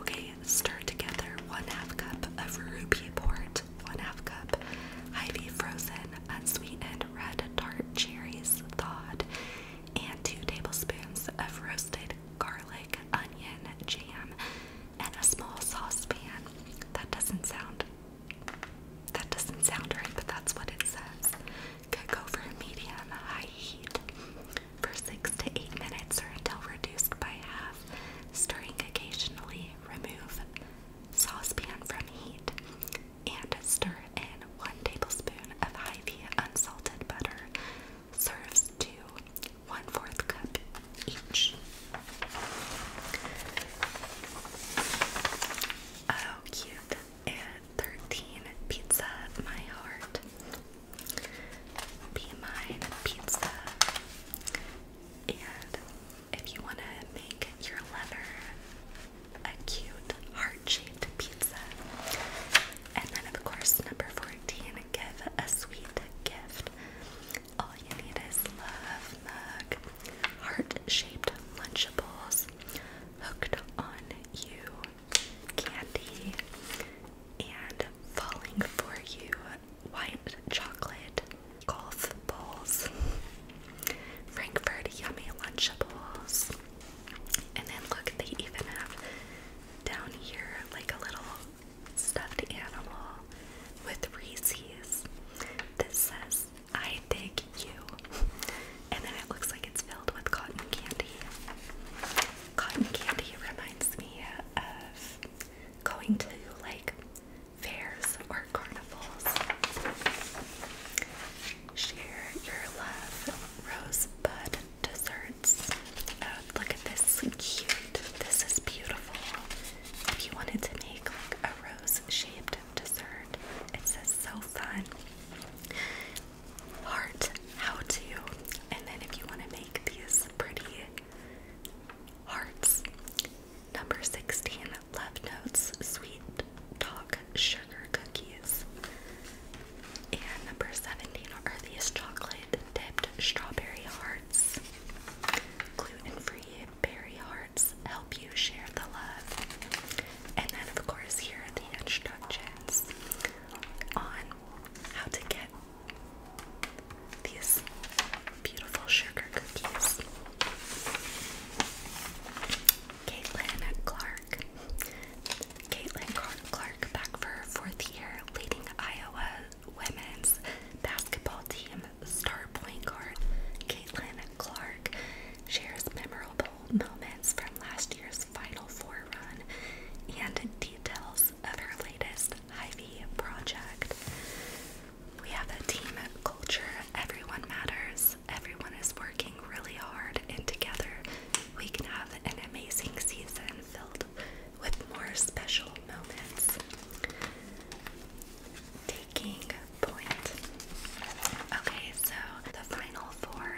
Okay, stir together one half cup of ruby port, one half cup Ivy frozen unsweetened red tart cherries thawed, and two tablespoons of roasted garlic, onion, jam, and a small saucepan. That doesn't sound that doesn't sound right, but that's what it says. Cook over medium high heat for six to eight minutes or until reduced by half, stirring occasionally. Remove saucepan from heat and stir in 1 tablespoon of Hy-Vee unsalted butter. Serves two, 1 cup each. Oh, cute. And 13 pizza, my heart. Be mine pizza. And if you want to make your lover a cute heart-shaped pizza. And then, of course, number 14, give a sweet gift. All you need is love mug, heart-shaped Lunchables, hooked on you, candy, and falling for you white chocolate golf balls, Frankfurt yummy lunchables, and then look, they even have down here like a little stuffed animal with Reese's. This says, I dig you, and then it looks like it's filled with cotton candy. Cotton candy reminds me of going to like fairs or carnivals. Share your love, rosebud desserts. Oh, look at this cute. This is beautiful. If you wanted to make like a rose-shaped dessert, it so fun. Heart how to. And then if you want to make these pretty Hearts. Number 16. Love Notes Sweet Talk Sugar Cookies. And number 17 are these chocolate dipped strawberry hearts. Gluten free berry hearts help you share the love. And then, of course, here are the instructions on how to get these beautiful sugar cookies. Caitlin Clark. Caitlin Clark back for her fourth year leading Iowa women's basketball team star point guard. Caitlin Clark shares memorable moments from last year's Final Four run and details of her latest Ivy project. We have a team culture. Everyone matters. Everyone is working really hard, and together we can have an amazing season filled with more special moments. Taking point. Okay, so the final four.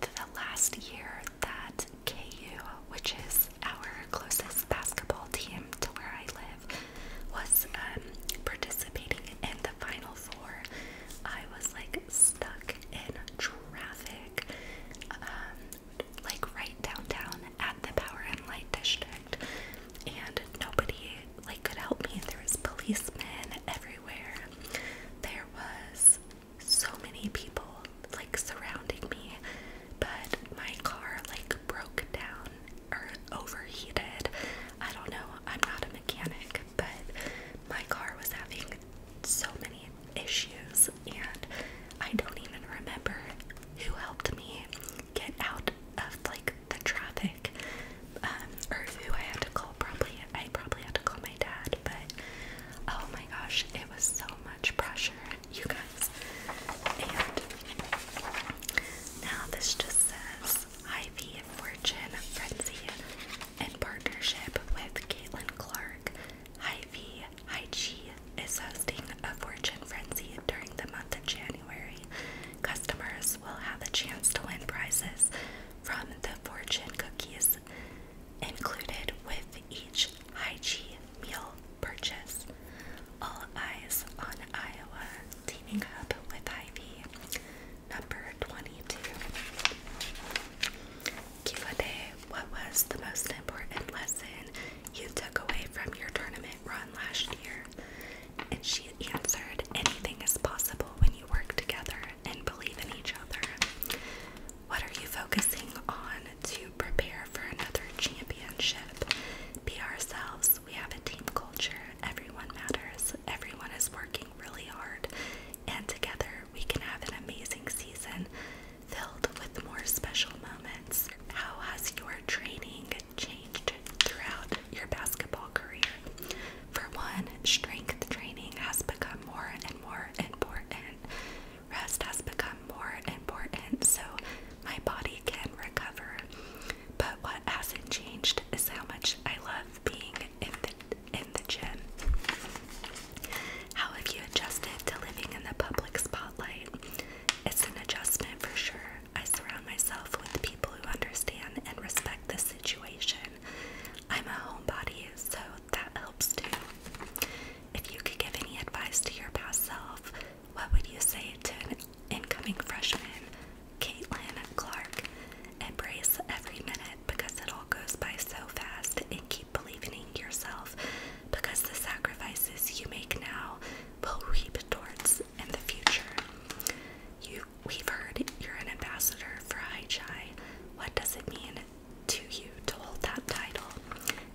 The last year that KU, which is our closest basketball team to where I live was um, participating in the Final Four. I was like stuck in traffic, um, like right downtown at the Power and Light District, and nobody like could help me. There was policemen everywhere. There was so many people like surrounding me, but my car like broke down overheated. I don't know. I'm not a mechanic, but my car was having so many issues, and I don't even remember who helped me get out of like the traffic, um, or who I had to call. Probably I probably had to call my dad, but oh my gosh, it was so much pressure. You guys, now this just says Ivy Fortune Frenzy in partnership with Caitlin Clark. Ivy Hychee is hosting a Fortune Frenzy during the month of January. Customers will have a chance to win prizes from the fortune cookies included with each Hychee meal purchase. All eyes on Iowa Teaming up with Ivy, number 22. Q&A, what was the most important lesson you took away from your tournament run last year? And she answered, anything is possible when you work together and believe in each other. What are you focusing on to prepare for another championship? Be ourselves we have a team culture. Everyone matters. Everyone is working really hard. And together we can have an amazing season filled with more special moments. How has your training changed throughout your basketball career? For one, strength training has become more and more important. Rest has become more important so my body can recover. But what hasn't changed is how much I love being in the in the gym. How have you adjusted to living in the public spotlight? It's an adjustment for sure. I surround myself with people who understand and respect the situation. I'm a homebody, so that helps too. If you could give any advice to your past self, what would you say to an incoming freshman, Caitlin Clark? Embrace every minute because it all goes by so fast and keep believing in yourself because the sacrifices you make now will reap towards in the future. You, we've heard you're an ambassador for High Chai. What does it mean to you to hold that title?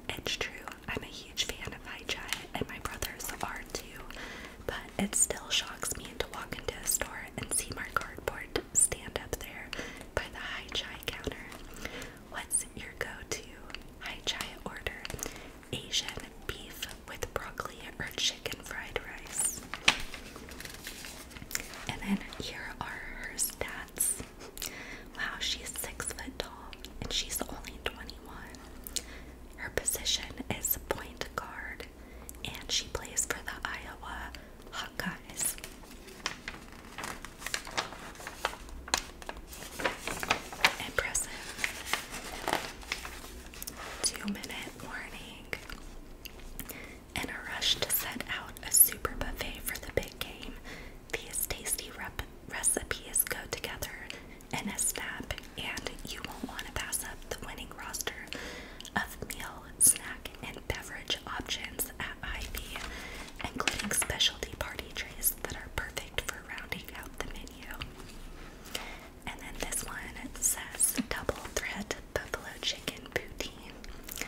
It's true. I'm a huge fan of hi Giant, and my brothers are too, but it still shocks me to walk into a store and see my cardboard stand up there by the hi Giant counter. What's your go to hi Giant order? Asian beef with broccoli or chicken fried rice. And then here are her stats. Wow, she's six foot tall and she's only 21. Her position is point guard, and she plays for the Iowa Hawkeyes. Impressive. Two minute warning. In a rush to set out a super buffet for the big game, these tasty recipes go together and snap, and you won't want to pass up the winning roster of meal, snack, and beverage options at Ivy, including specialty party trays that are perfect for rounding out the menu. And then this one says double threat buffalo chicken poutine.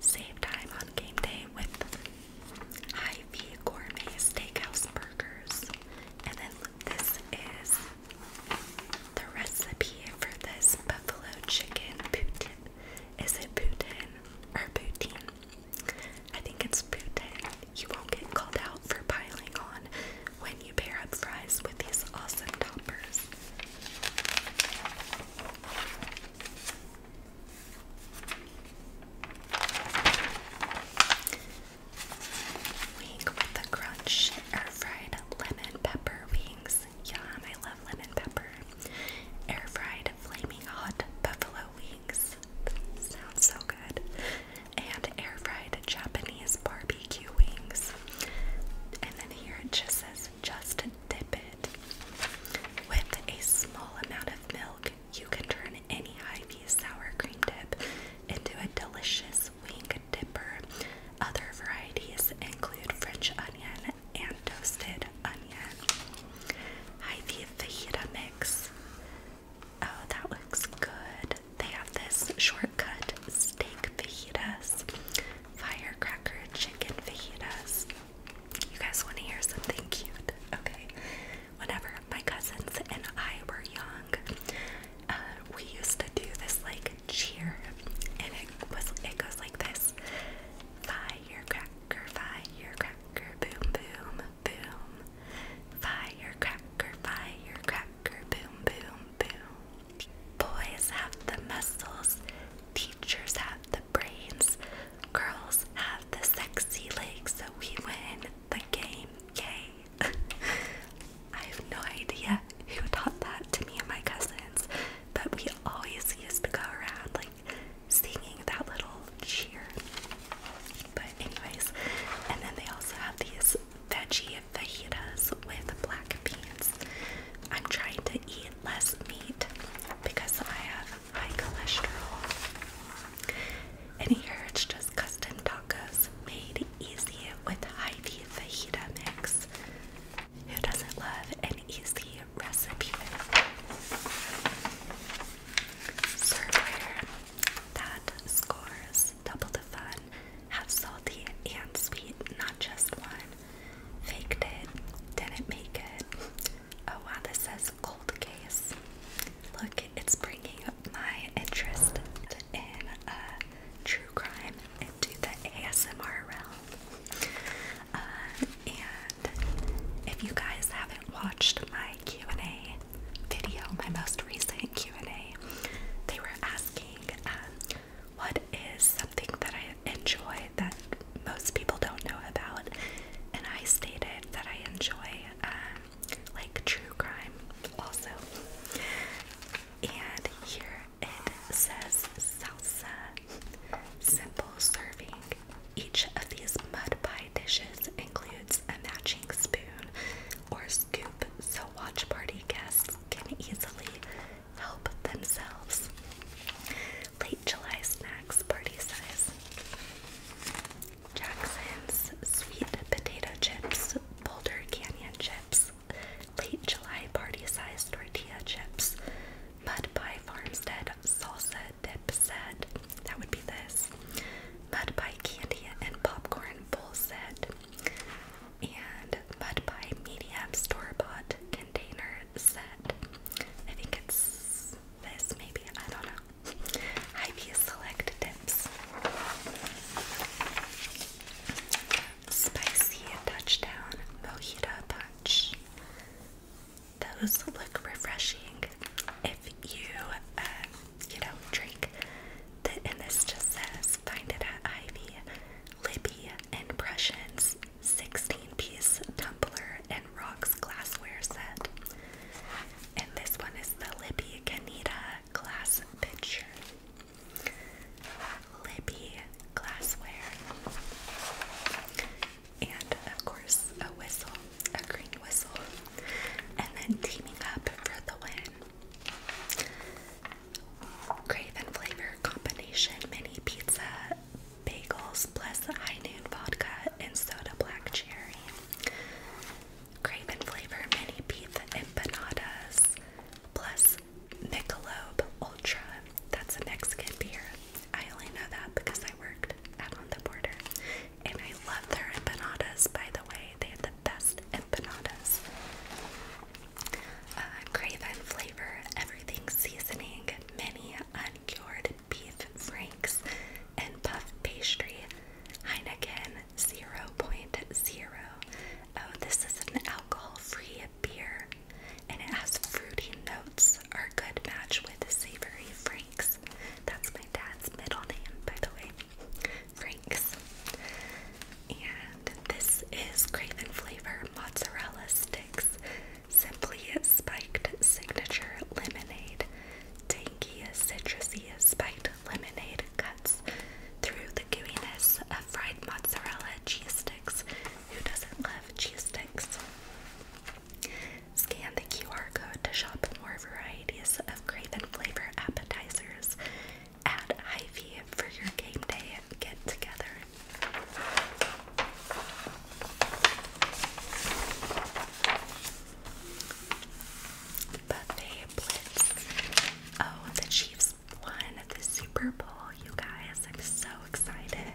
Save time on game day with high Ivy Gourmet Steakhouse Burgers. And then this is the recipe for this buffalo chicken poutine. Is it poutine or poutine? I think it's poutine. You won't get called out for piling on when you pair up fries with these awesome toppers. Wing with a crunch, air fried lemon pepper wings. Yum, I love lemon pepper. Air fried flaming hot buffalo wings. Sounds so good. And air fried Japanese barbecue wings. And then here it just says just dip it with a small amount of milk you can turn any hy sour cream dip into a delicious wing dipper. Other varieties include French onion and toasted onion. Hy-Vee fajita mix. Oh, that looks good. They have this shortcut steak fajitas, firecracker chicken fajitas. You guys want to hear something cute? Okay, whenever my cousins and I were young, uh, we used to do this like cheer, and it was it goes like this: firecracker, firecracker, boom, boom, boom, firecracker, firecracker, boom, boom, boom. Boys have the muscles, teachers have the brains, girls have the sexy legs. So we win the game Yay! I have no idea who taught that to me and my cousins, but we always used to go around like singing that little cheer. But, anyways, and then they also have these veggie fajitas with black beans. I'm trying to eat less meat because I have high cholesterol. And here it's just custom tacos made easy with Hy-Vee fajita mix. Who doesn't love an easy recipe? Serveware that scores double the fun. Have salty and sweet, not just one. Faked it, didn't make it. Oh wow, this says cold case. Look it's bringing my interest in uh, true crime into the ASMR realm. Uh, and if you guys haven't watched my Q&A video, my most recent Q&A, they were asking um, what is something that I enjoy that most people don't know about, and I stated that I enjoy um, like true crime, also. And here it says salsa. Simple serving. Each of these mud pie dishes includes a matching spoon or scoop so watch party guests can easily help themselves. Late July snacks party size. Jackson's Sweet Potato Chips, Boulder Canyon Chips, Late July Party sized Tortilla Chips, Mud Pie Farmstead Salsa Dip Set, that would be this, Mud Pie Candy and Popcorn Bowl Set, and Mud Pie Medium Store Bought Container Set. I think it's this, maybe, I don't know. Ivy Select Dips. Spicy Touchdown Mojito Punch. Those look refreshing. If you, uh, you know, drink, the, and this just says find it at Ivy, Libby, and Prussians 16 piece tumbler and rocks glassware set. And this one is the Libby Canita glass pitcher, Libby glassware, and of course a whistle, a green whistle, and then teaming up for the win. Craven flavor combination mini pizza, bagels plus high vodka and soda black cherry cream flavor mini beef empanadas, plus Michelob Ultra. That's a Mexican beer. I only know that because I worked out on the border. And I love their empanadas, by the way. They have the best empanadas. Uh, flavor, everything seasoning, many uncured beef franks, and puff pastry. Heineken 0.0. Oh, this is an alcohol-free beer, and it has fruity notes. Are a good match with savory Franks. That's my dad's middle name, by the way. Franks. And this is Craven Flavor Mozzarella Sticks. Simply spiked signature lemonade. Tangy, citrusy, spiked lemonade cuts through the gooiness of fried mozzarella cheese sticks. Who doesn't love cheese sticks? Scan the QR code to shop more varieties of Craven flavor appetizers at hy for your game day get together. Buffet Blitz. Oh, the Chiefs won the Super Bowl, you guys. I'm so excited.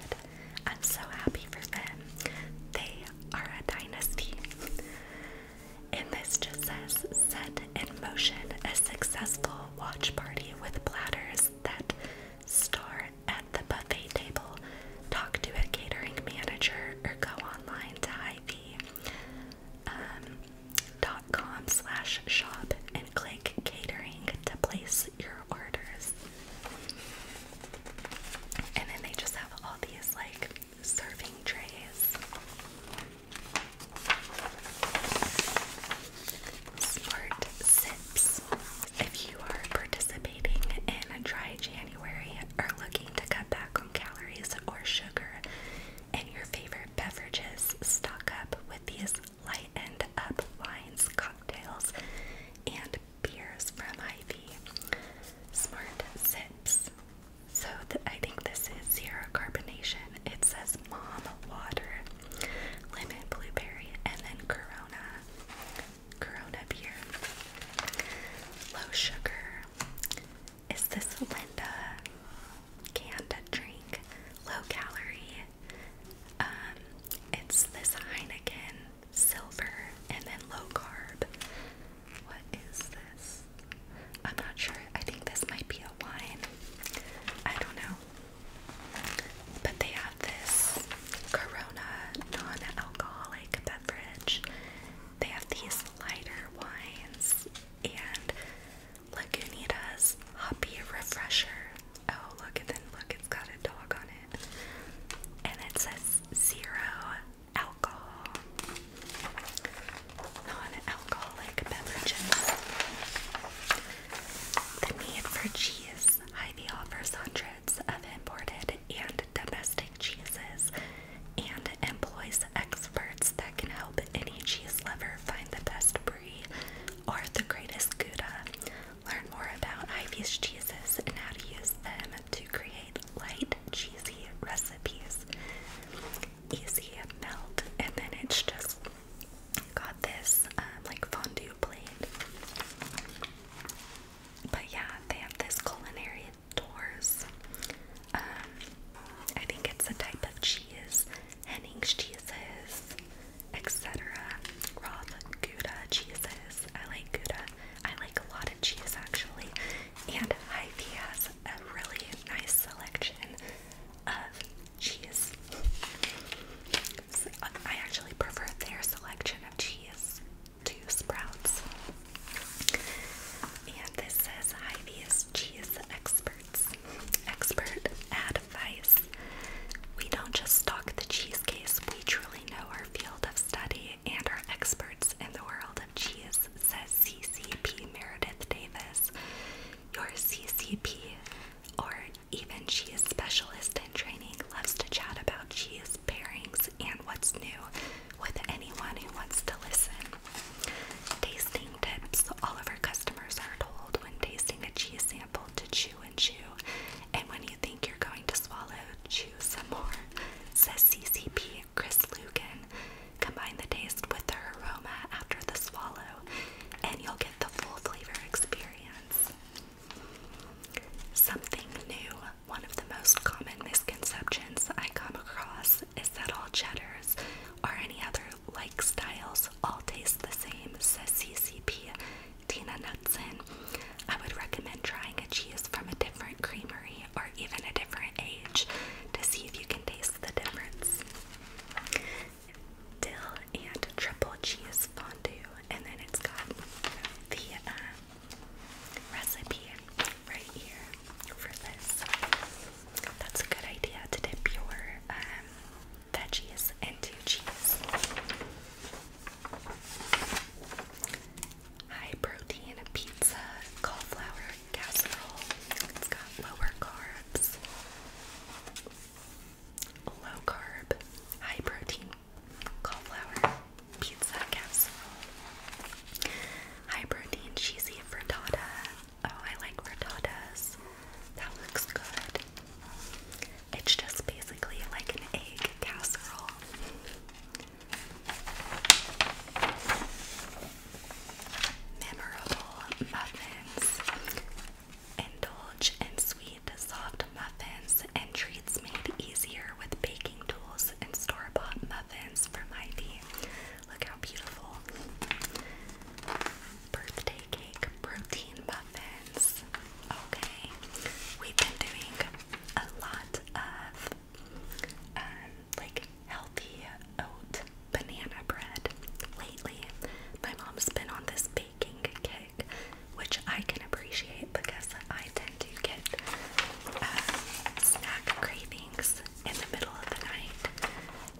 I'm so happy for them. They are a dynasty. And this just says set in motion a successful watch party with platters that start at the buffet table, talk to a catering manager, or go online to Ivy dot com slash shop and click catering to place your orders. And then they just have all these like serving trays. Smart sips. If you are participating in a dry January or looking to cut back on calories or sugar, and your favorite beverages. Stock up with these lightened up wines, cocktails, and beers from Ivy. Smart sips. So th I think this is zero carbonation. It says mom water, lemon blueberry, and then Corona. Corona beer. Low sugar. Is this Linda Canned drink? Low calorie. Um, it's this Heineken silver and then low carb. What is this? I'm not sure. I think this might be a wine. I don't know. But they have this Corona non alcoholic beverage. They have these lighter wines and Lagunitas Hoppy Refresher. Oh, look, and then look, it's got a dog on it. And it says zero alcohol. Non alcoholic beverages. The need for cheese. hy offers hundreds of imported and domestic cheeses and employs experts that can help any cheese lover find the best brie or the greatest gouda. Learn more about Ivy's cheeses and how to use them to create light, cheesy recipes. Easy melt, and then it's just got this um, like fondue plate. But yeah, they have this culinary tours um, I think it's a type of cheese, Henning's cheeses, etc. Roth Gouda cheeses. I like Gouda. I like a lot of cheese actually. And hy has a really nice selection of cheese. I actually prefer their selection of cheese to Sprouts. And this says Hy-Vee's cheese experts. Expert advice. We don't just stock the cheese case, we truly know our field of study and our experts in the world of cheese, says CCP Meredith Davis. Your CCP, or even cheese specialist in training, loves to chat about cheese pairings and what's new with anyone who wants to listen. Tasting tips. All of our customers are told when tasting a cheese sample to chew and chew. And when you think you're going to swallow, chew some more. Says CCP Chris Lugan. Combine the taste with the aroma after the swallow, and you'll get the full flavor experience. Something new. One of the most common misconceptions I come across is that all cheddars or any other like styles all taste the same, says CCP Tina Knudsen. I would recommend trying a cheese from a different creamery or even a different age to see if you can taste the difference. Dill and triple cheese fondue, and then it's got the uh, recipe right here for this. That's a good idea to dip your um, veggies into cheese. High protein pizza, cauliflower casserole. It's got lower carbs, low carb, high protein cauliflower pizza casserole, high protein cheesy frittata, Oh, I like frittatas. That looks good. It's just basically like an egg casserole. Memorable muffins. Indulge in sweet, soft muffins and treats made easier with baking tools and store bought muffins from Ivy. Look how beautiful. Birthday cake protein muffins. Okay, we've been doing a lot of um, like healthy oat banana bread lately. My mom's been on this baking kick, which I can appreciate because I tend to get um, snack cravings in the middle of the night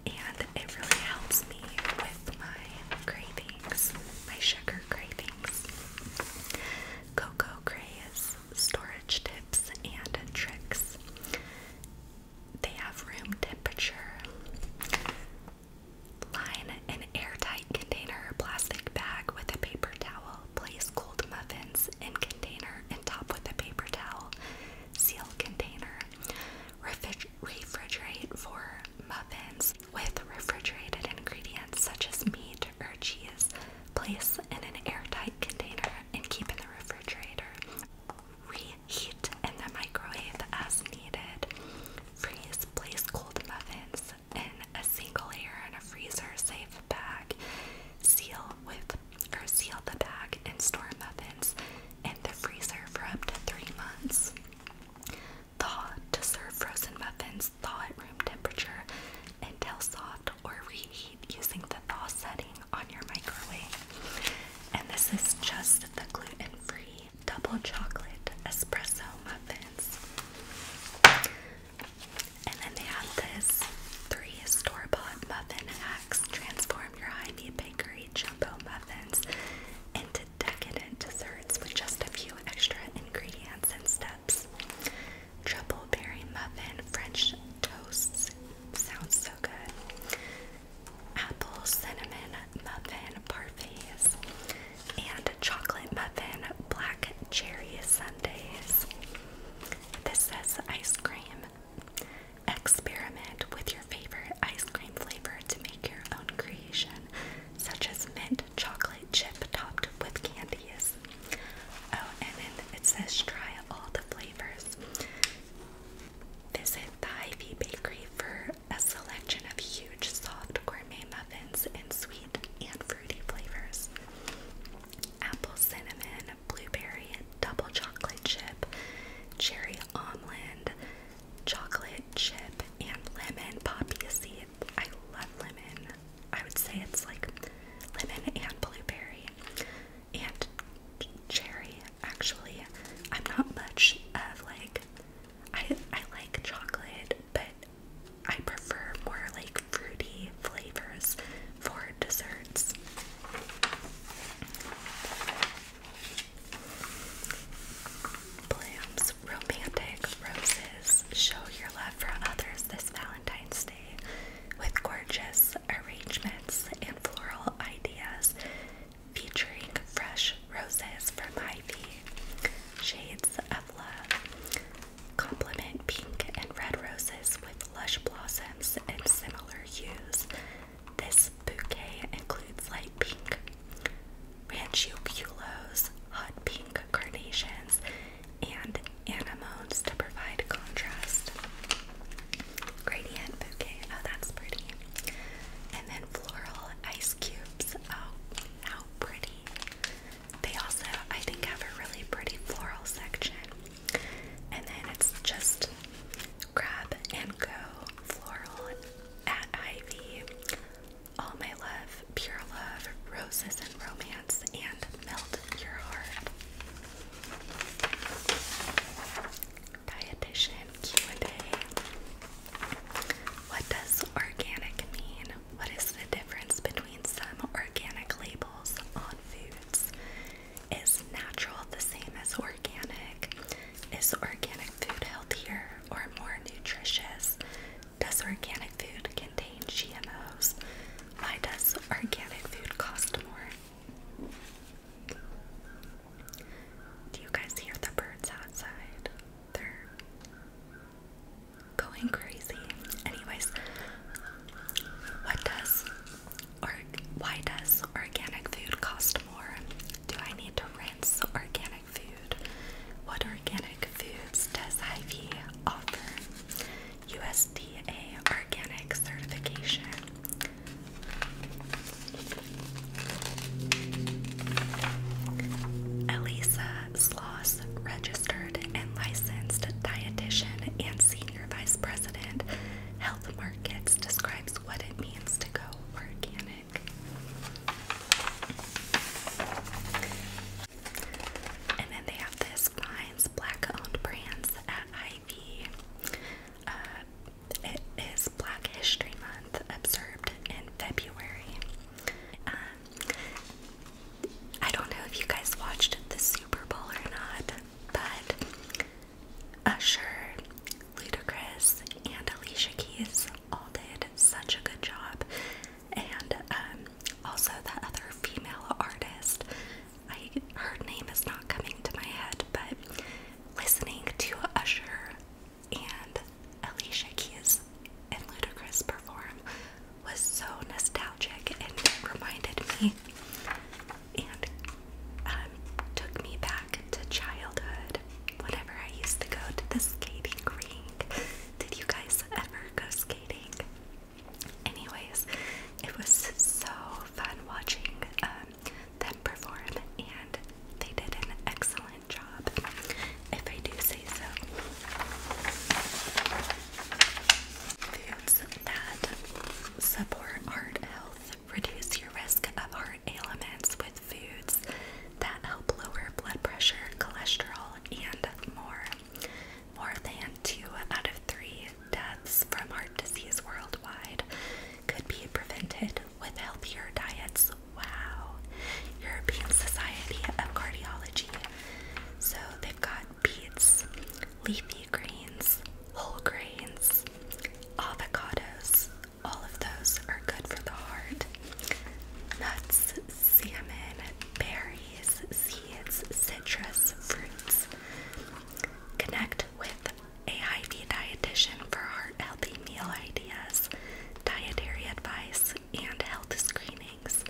and it really helps me with my cravings, my sugar cravings. Cocoa Craze storage tips and tricks. They have room temperature. Line an airtight container plastic bag with a paper towel. Place cold muffins in container and top with a paper towel seal container. refrigerate for muffins with refrigerated ingredients such as meat or cheese. Place in an airtight container and keep in the refrigerator. Reheat in the microwave as needed. Freeze. Place cold muffins in a single layer in a freezer safe bag. Seal with or seal the bag and store muffins in the freezer for up to three months. Thaw to serve frozen muffins, thaw at room temperature until soft or reheat using the thaw setting on your microwave. And this is just the gluten free double chocolate espresso muffins. And then they have this three store muffin hacks transform your high meat bakery blueberry jumbo muffins into decadent desserts with just a few extra ingredients and steps. Triple berry muffin French toasts sounds so good. Apple cinnamon muffin parfaits and chocolate muffin black cherry sundaes. This says ice cream Experiment with your favorite ice cream flavor to make your own creation, such as mint chocolate chip topped with candies. Oh, and then it says try all the flavors. Visit the Ivy Bakery for a selection of huge, soft gourmet muffins in sweet and fruity flavors. Apple cinnamon, blueberry double chocolate chip, cherry almond, chocolate chip, and lemon poppy seed. I love lemon. I would say it's like lemon and blueberry and cherry. Actually, I'm not much of like I I like chocolate, but I prefer more like fruity flavors for desserts. Blooms Romantic Roses show your love for others this Valentine's Day with gorgeous arrangements and floral ideas featuring fresh roses from Ivy. Shades of Love. Complement pink and red roses with lush blossoms and similar hues this bouquet includes light pink ranchiculos, hot pink carnations, and anemones to provide contrast. Gradient bouquet, oh that's pretty. And then floral ice cubes, oh how pretty. They also, I think, have a really pretty floral section. And then it's just grab and go floral at Ivy. All my love, pure love, roses and romance, and melt your heart. Dietitian Q&A. What does organic mean? What is the difference between some organic labels on foods is natural the same as organic? Is organic food healthier or more nutritious? Does organic food contain GMOs? Why does organic food cost more? Do you guys hear the birds outside? They're going crazy. Anyways, what does or why does organic food cost more? Do I need to rinse organic food? What organic foods does hy offer? USDA organic certification. Elisa Sloss, registered and licensed dietitian and senior vice president, Health Markets, describes what it means to go organic. And then they have this finds black owned brands at Ivy. Uh, it is Black History Month, observed in February. Um, I don't know if you guys watched the Super Bowl or not, but Usher, Ludacris, and Alicia Keys all did such a good job. And um, also that other female artist, I her name is not coming to my head, but listening to Usher and Alicia Keys and Ludacris perform was so nostalgic and reminded me and um, took me back to childhood whenever I used to go to the skating rink. Did you guys ever go skating? Anyways, it was so fun watching um, them perform, and they did an excellent job, if I do say so. Foods that support heart health Reduce your risk of heart ailments with foods that help lower blood pressure, cholesterol, and more. More than two out of three deaths from heart disease worldwide could be prevented with healthier diets. Wow. European Society of Cardiology. So they've got beets, leafy greens, whole grains, Avocados, all of those are good for the heart. Nuts, salmon, berries, seeds, citrus, fruits. Connect with a Hy-Vee dietitian for heart-healthy meal ideas, dietary advice, and health screenings.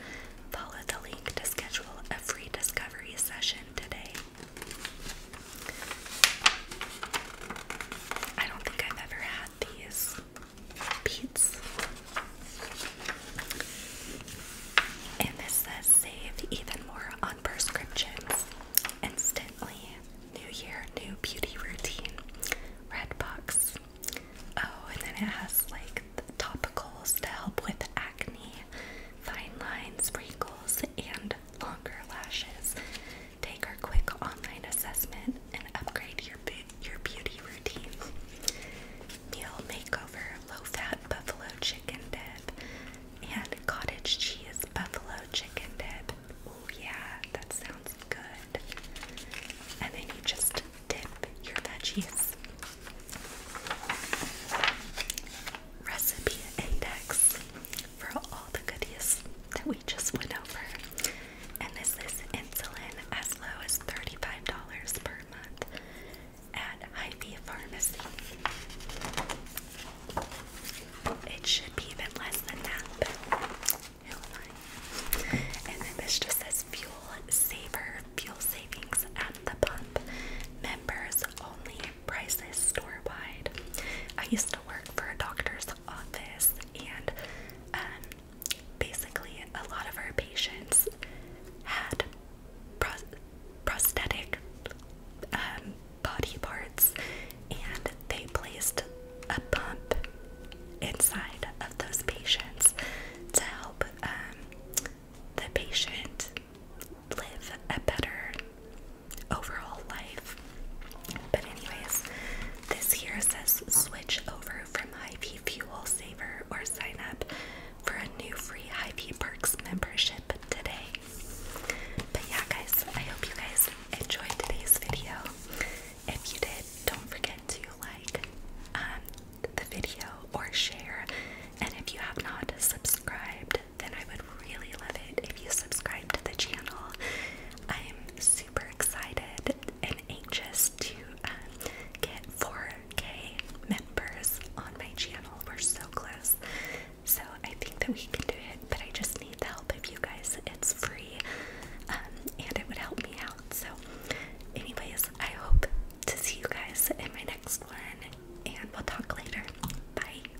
Follow the link to schedule a free discovery session today. I don't think I've ever had these beads. And this says save even more on prescriptions. Instantly. New year, new beauty routine. Red box. Oh, and then it has like the topicals to help with acne, fine lines, wrinkles, and longer lashes. Take our quick online assessment and upgrade your your beauty routine. Meal makeover: low-fat buffalo chicken dip and cottage cheese buffalo chicken dip. Oh yeah, that sounds good. And then you just dip your veggies. Recipe index for all the goodies that we just went over. And this is insulin as low as $35 per month at Hy-Vee Pharmacy. It should be even less than that, but And this just says fuel saver, fuel savings at the pump. Members only prices store I used to work for a doctor's office and um, basically a lot of our patients had prosthetic um, body parts and they placed a pump inside of those patients to help um, the patient live a better overall life. But anyways, this here says switch over from hy Fuel Saver or sign up for a new free hy Perks membership today. But yeah guys, I hope you guys enjoyed today's video. If you did, don't forget to like um, the video or share. And if you have not subscribed, then I would really love it if you subscribe to the channel. I'm super excited and anxious to um, get 4K members on my channel. We're so close. So I think that we can do it, but I just need the help of you guys. It's free um, and it would help me out. So, anyways, I hope to see you guys in my next one, and we'll talk later. Bye.